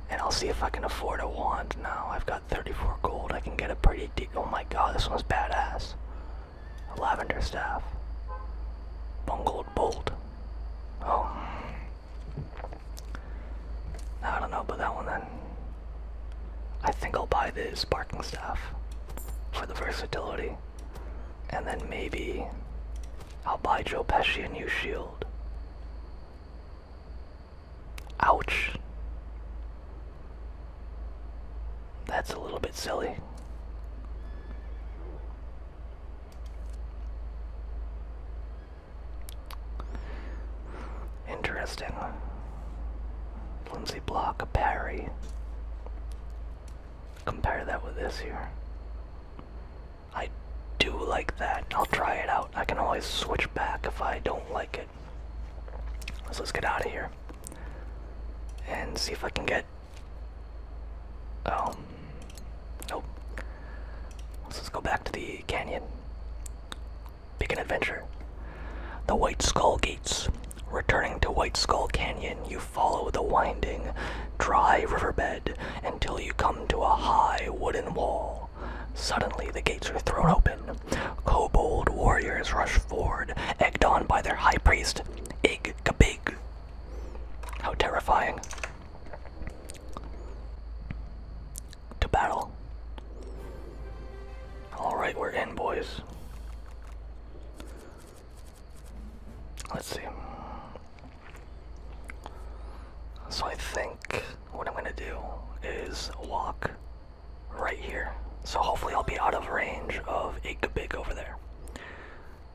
And I'll see if I can afford a wand now. I've got 34 gold, I can get a pretty Oh my god, this one's badass. A lavender staff. Bungled bolt. Oh. I don't know about that one then. I think I'll buy this sparking staff for the versatility. And then maybe I'll buy Joe Pesci a new shield. Ouch. That's a little bit silly. Interesting. Flimsy block, a parry. Compare that with this here. I do like that. I'll try it out. I can always switch back if I don't like it. So let's get out of here and see if I can get. Oh, nope. Let's just go back to the canyon. Pick adventure. The White Skull Gates. Returning to White Skull Canyon, you follow the winding, dry riverbed until you come to a high wooden wall. Suddenly, the gates are thrown open. Kobold warriors rush forward, egged on by their high priest, Ig Kabig. How terrifying. To battle. Alright, we're in, boys. Let's see. So I think what I'm gonna do is walk right here. So hopefully I'll be out of range of Igabig over there.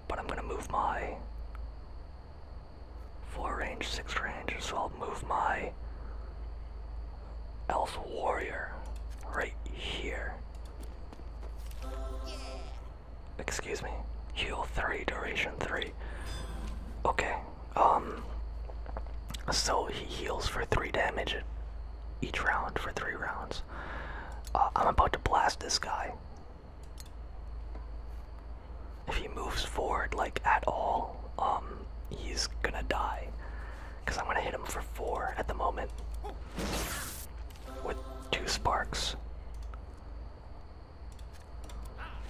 But I'm gonna move my four range, six range, so I'll move my Elf Warrior right here. Excuse me. Heal 3, duration 3. Okay. Um, so he heals for three damage each round for three rounds. Uh, I'm about to blast this guy. If he moves forward like at all, um, he's gonna die. Cause I'm gonna hit him for four at the moment with two sparks.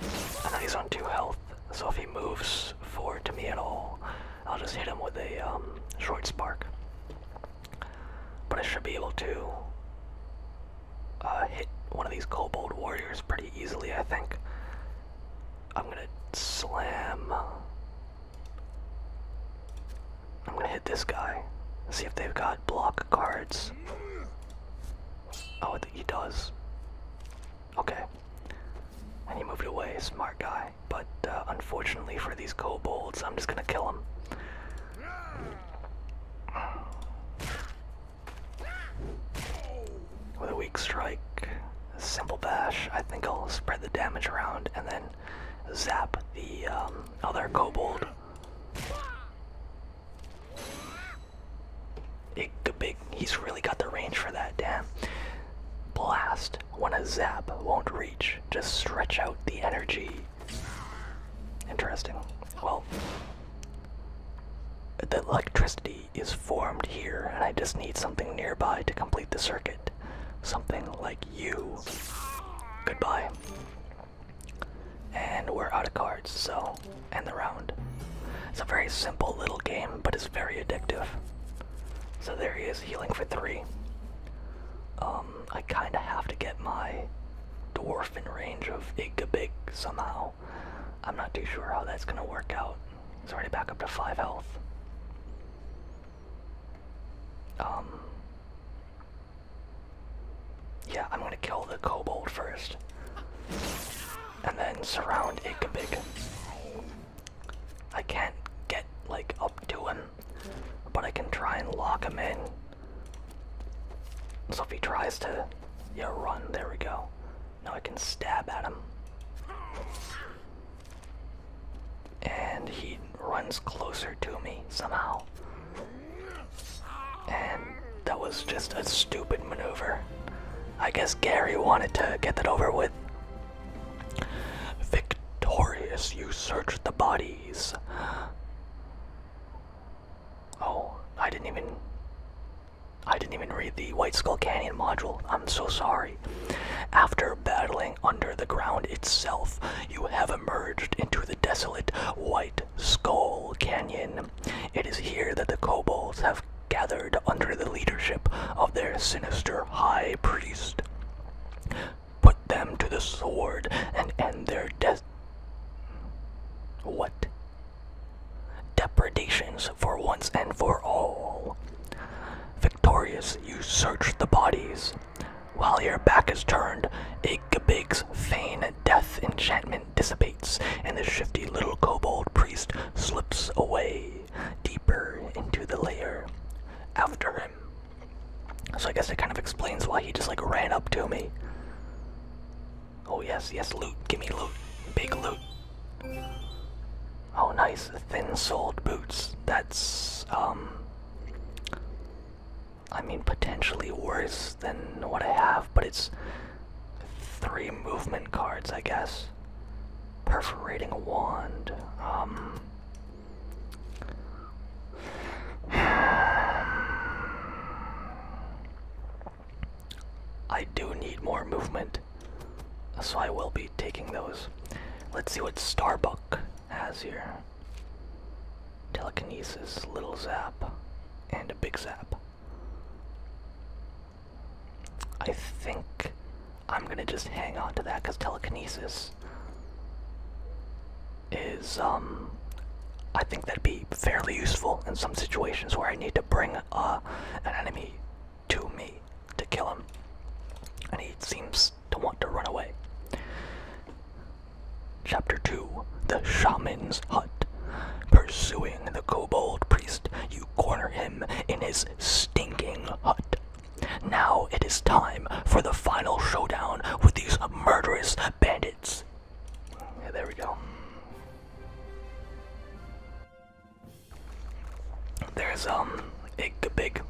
And then he's on two health, so if he moves forward to me at all, I'll just hit him with a um, short spark. But I should be able to uh, hit one of these kobold warriors pretty easily, I think. I'm gonna slam. I'm gonna hit this guy. See if they've got block cards. Oh, I think he does. Okay. And he moved away, smart guy. But uh, unfortunately for these kobolds, I'm just gonna kill him. With a weak strike, a simple bash, I think I'll spread the damage around and then zap the um, other kobold. Big, he's really got the range for that. Damn. Blast when a zap won't reach. Just stretch out the energy. Interesting. Well, the electricity is formed here, and I just need something nearby to complete the circuit. Something like you. Goodbye. And we're out of cards, so end the round. It's a very simple little game, but it's very addictive. So there he is, healing for three. Um, I kinda have to get my dwarf in range of Igabig somehow. I'm not too sure how that's gonna work out. He's already back up to five health. Um, yeah, I'm gonna kill the kobold first. And then surround Igabig. I can't get like up to him, but I can try and lock him in. So if he tries to, yeah, run. There we go. Now I can stab at him, and he runs closer to me somehow. And that was just a stupid maneuver. I guess Gary wanted to get that over with. Victorious, you search the bodies. Oh, I didn't even. I didn't even read the White Skull Canyon module. I'm so sorry. After battling under the ground itself, you have emerged into the desolate White Skull Canyon. It is here that the kobolds have gathered under the leadership of their sinister high priest. Put them to the sword and end their death. What? Depredations for once and for all. Victorious, you search the bodies. While your back is turned, Igabig's feign death enchantment dissipates, and the shifty little kobold priest slips away deeper into the layer after him. So I guess it kind of explains why he just like ran up to me. Oh yes, yes, loot. Give me loot. Big loot. Oh nice, thin-soled boots. That's, um... I mean, potentially worse than what I have, but it's three movement cards, I guess perforating wand. Um, I do need more movement, so I will be taking those. Let's see what Starbuck has here. Telekinesis, little zap, and a big zap. I think I'm gonna just hang on to that because telekinesis is, um, I think that'd be fairly useful in some situations where I need to bring uh, an enemy to me to kill him. And he seems to want to run away. Chapter 2 The Shaman's Hut. Pursuing the kobold priest, you corner him in his stinking hut. Now it is time for the final showdown with these murderous bandits. there we go. There's um Igbig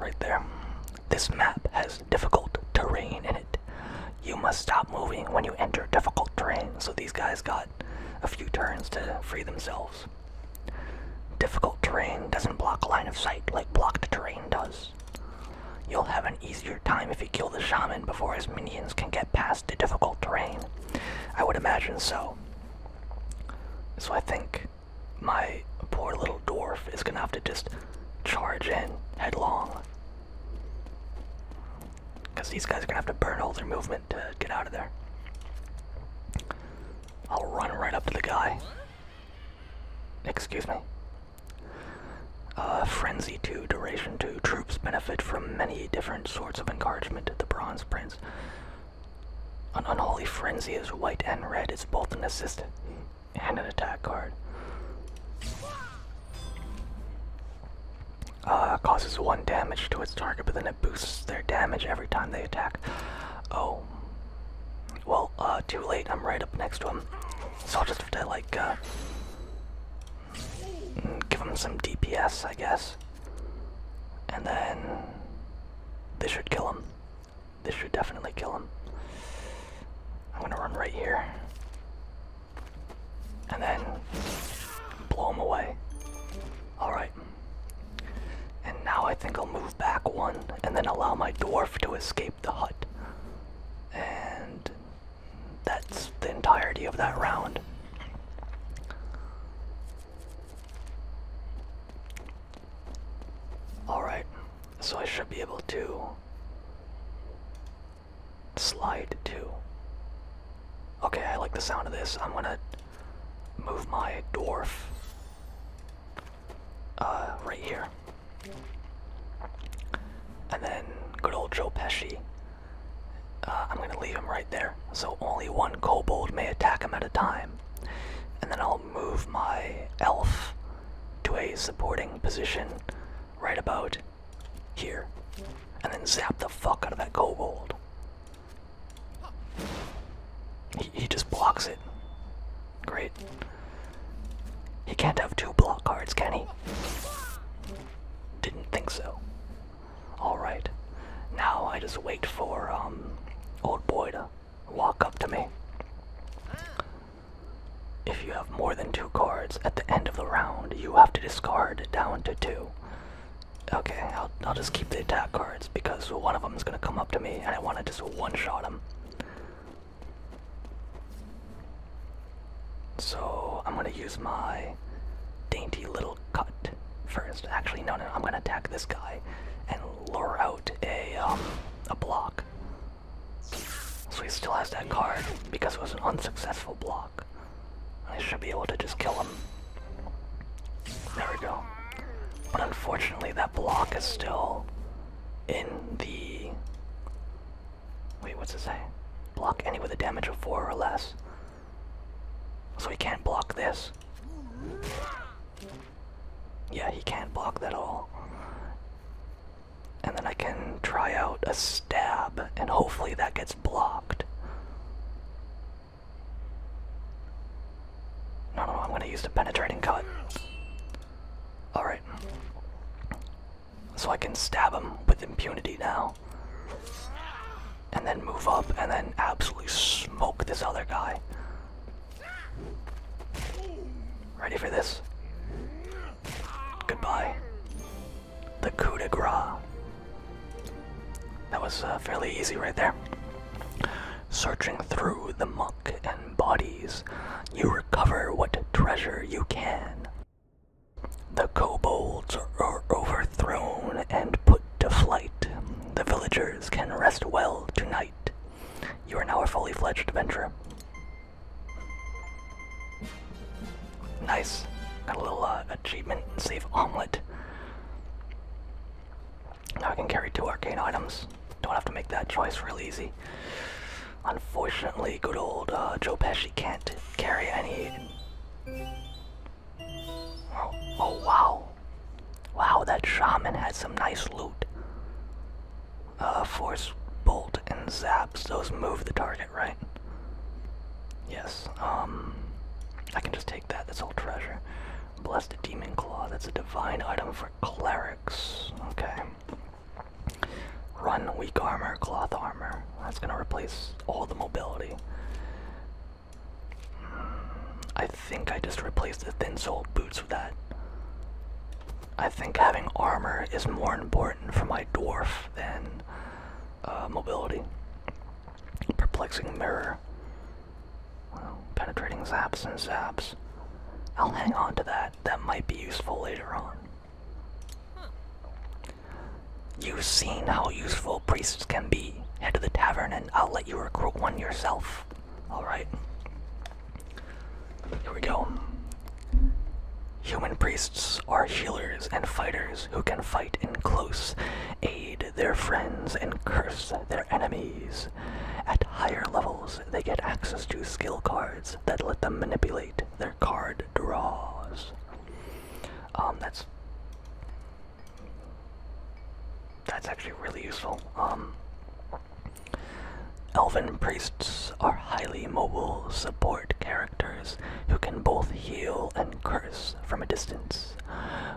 right there. This map has difficult terrain in it. You must stop moving when you enter difficult terrain. So these guys got a few turns to free themselves. Difficult terrain doesn't block line of sight like blocked terrain does. You'll have an easier time if you kill the shaman before his minions can get past the difficult terrain. I would imagine so. So I think my poor little dwarf is gonna have to just charge in headlong. Because these guys are gonna have to burn all their movement to get out of there. I'll run right up to the guy. Excuse me. Uh, frenzy 2, Duration 2. Troops benefit from many different sorts of encouragement to the Bronze Prince. An Unholy Frenzy is white and red. It's both an assistant and an attack card. Uh, causes one damage to its target, but then boosts their damage every time they attack. Oh. Well, uh, too late. I'm right up next to him. So I'll just have to, like, uh, give him some DPS, I guess. And then. This should kill him. This should definitely kill him. I'm gonna run right here. And then. blow him away. Alright. And now I think I'll move back one and then allow my dwarf to escape the hut. And that's the entirety of that round. Alright, so I should be able to slide too. Okay, I like the sound of this. I'm gonna move my dwarf uh, right here. And then good old Joe Pesci. Uh, I'm gonna leave him right there, so only one kobold may attack him at a time. And then I'll move my elf to a supporting position right about here. And then zap the fuck out of that kobold. He, just blocks it. Great. He can't have two block cards, can he? Didn't think so. Alright. Now I just wait for um old boy to walk up to me. If you have more than two cards at the end of the round, you have to discard down to two. Okay, I'll, I'll just keep the attack cards because one of them is going to come up to me and I want to just one-shot him. So I'm going to use my dainty little cut first. Actually, no, no, I'm going to attack this guy and lure out a, um, a block. So he still has that card because it was an unsuccessful block. I should be able to just kill him there we go. But unfortunately, that block is still in the. Wait, what's it say? Block any with a damage of 4 or less. So he can't block this. Yeah, he can't block that all. And then I can try out a stab, and hopefully that gets blocked. No, no, I'm gonna use the penetrating cut. Alright. So I can stab him with impunity now. And then move up and then absolutely smoke this other guy. Ready for this? Goodbye. The coup de grace. That was uh, fairly easy right there. Searching through the muck and bodies, you recover what treasure you can. The kobolds are overthrown and put to flight. The villagers can rest well tonight. You are now a fully fledged adventurer. Nice. Got a little uh, achievement and save omelet. Now I can carry two arcane items. Don't have to make that choice real easy. Unfortunately, good old uh, Joe Pesci can't carry any. Oh, oh, wow. Wow, that shaman had some nice loot. Uh, force bolt and zaps, those move the target, right? Yes, um, I can just take that, This whole treasure. Blessed Demon Claw, that's a divine item for clerics. Okay. Run weak armor, cloth armor. That's gonna replace all the mobility. Mm, I think I just replaced the thin sole boots with that. I think having armor is more important for my dwarf than uh, mobility. Perplexing mirror. Well, penetrating zaps and zaps. I'll hang on to that. That might be useful later on. You've seen how useful priests can be. Head to the tavern and I'll let you recruit one yourself. Alright. Here we go. Human priests are healers and fighters who can fight in close aid their friends and curse their enemies. At higher levels, they get access to skill cards that let them manipulate their card draws. Um, that's that's actually really useful. Um, elven priests are highly mobile support characters who can both heal and curse from a distance.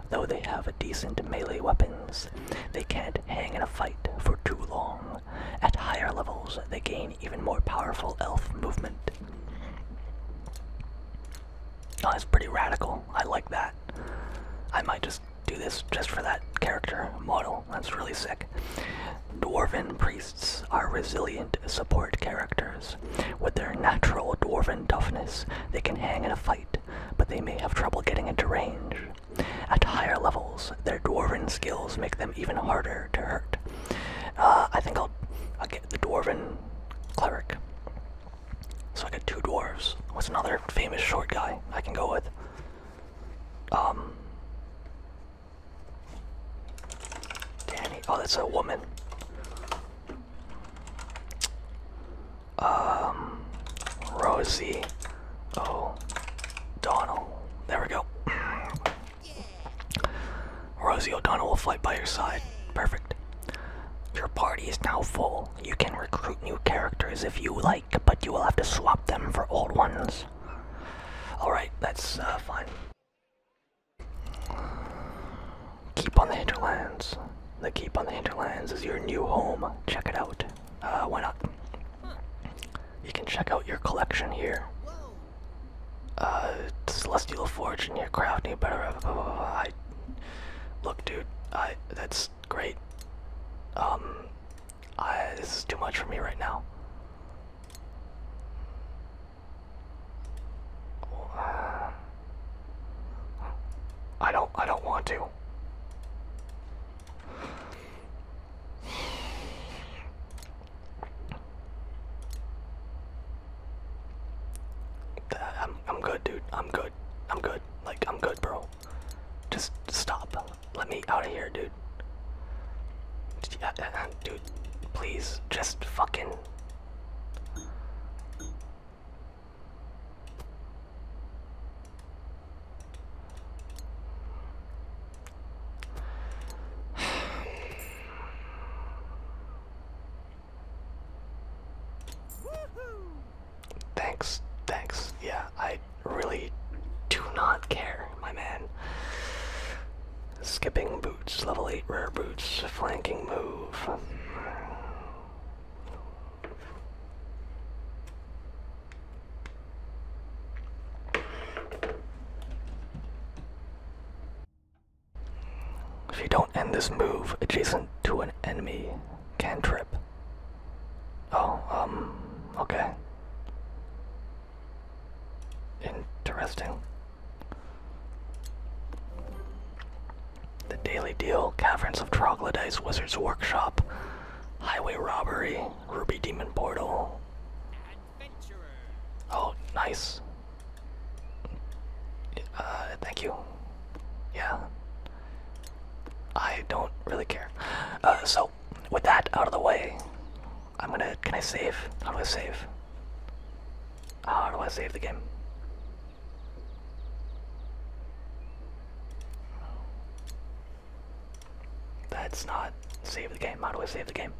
Though they have decent melee weapons, they can't hang in a fight for too long. At higher levels, they gain even more powerful elf movement. Oh, that's pretty radical. I like that. I might just do this just for that character model. That's really sick. Dwarven priests are resilient support characters. With their natural dwarven toughness, they can hang in a fight but they may have trouble getting into range. At higher levels, their dwarven skills make them even harder to hurt. Uh, I think I'll, get the dwarven cleric. So I got two dwarves. What's another famous short guy I can go with? Um. Danny. Oh, that's a woman. Um, Rosie O'Donnell. There we go. Rosie O'Donnell will fight by your side. Perfect. Your party is now full. You can recruit new characters if you like, but you will have to swap them for old ones. Alright, that's uh, fine. Keep on the hinterlands. The Keep on the Hinterlands is your new home. Check it out. Uh, why not? You can check out your collection here. Uh, Celestial Forge and your crafting, better. I look, dude. I that's great. Um, I this is too much for me right now. Uh, I don't I don't want to. I'm I'm good, dude. I'm good. I'm good. Like I'm good, bro. Just stop. Let me out of here, dude. Uh, dude, please, just fucking thanks, thanks. Yeah, I really do not care, my man. Skipping boots, level 8 rare boots, flanking move. If you don't end this move adjacent to an enemy, cantrip. Oh, um, okay. Interesting. The Daily Deal, Caverns of Troglodytes, Wizard's Workshop, Highway Robbery, Ruby Demon Portal. Oh, nice. Uh, thank you. Yeah. I don't really care. Uh, so, with that out of the way, I'm gonna. Can I save? How do I save? How do I save the game? That's not save the game. How do I save the game?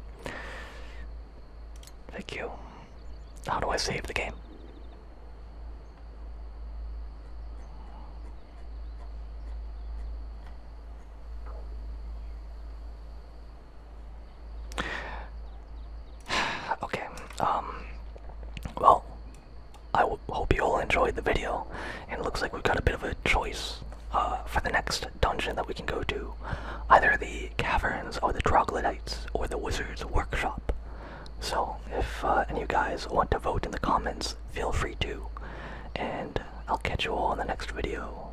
Thank you. How do I save the game? okay. Um well, I hope you all enjoyed the video, and it looks like we've got a bit of a choice uh, for the next dungeon that we can go to. Either the caverns, or the troglodytes, or the wizard's workshop. So, if uh, any of you guys want to vote in the comments, feel free to. And I'll catch you all in the next video.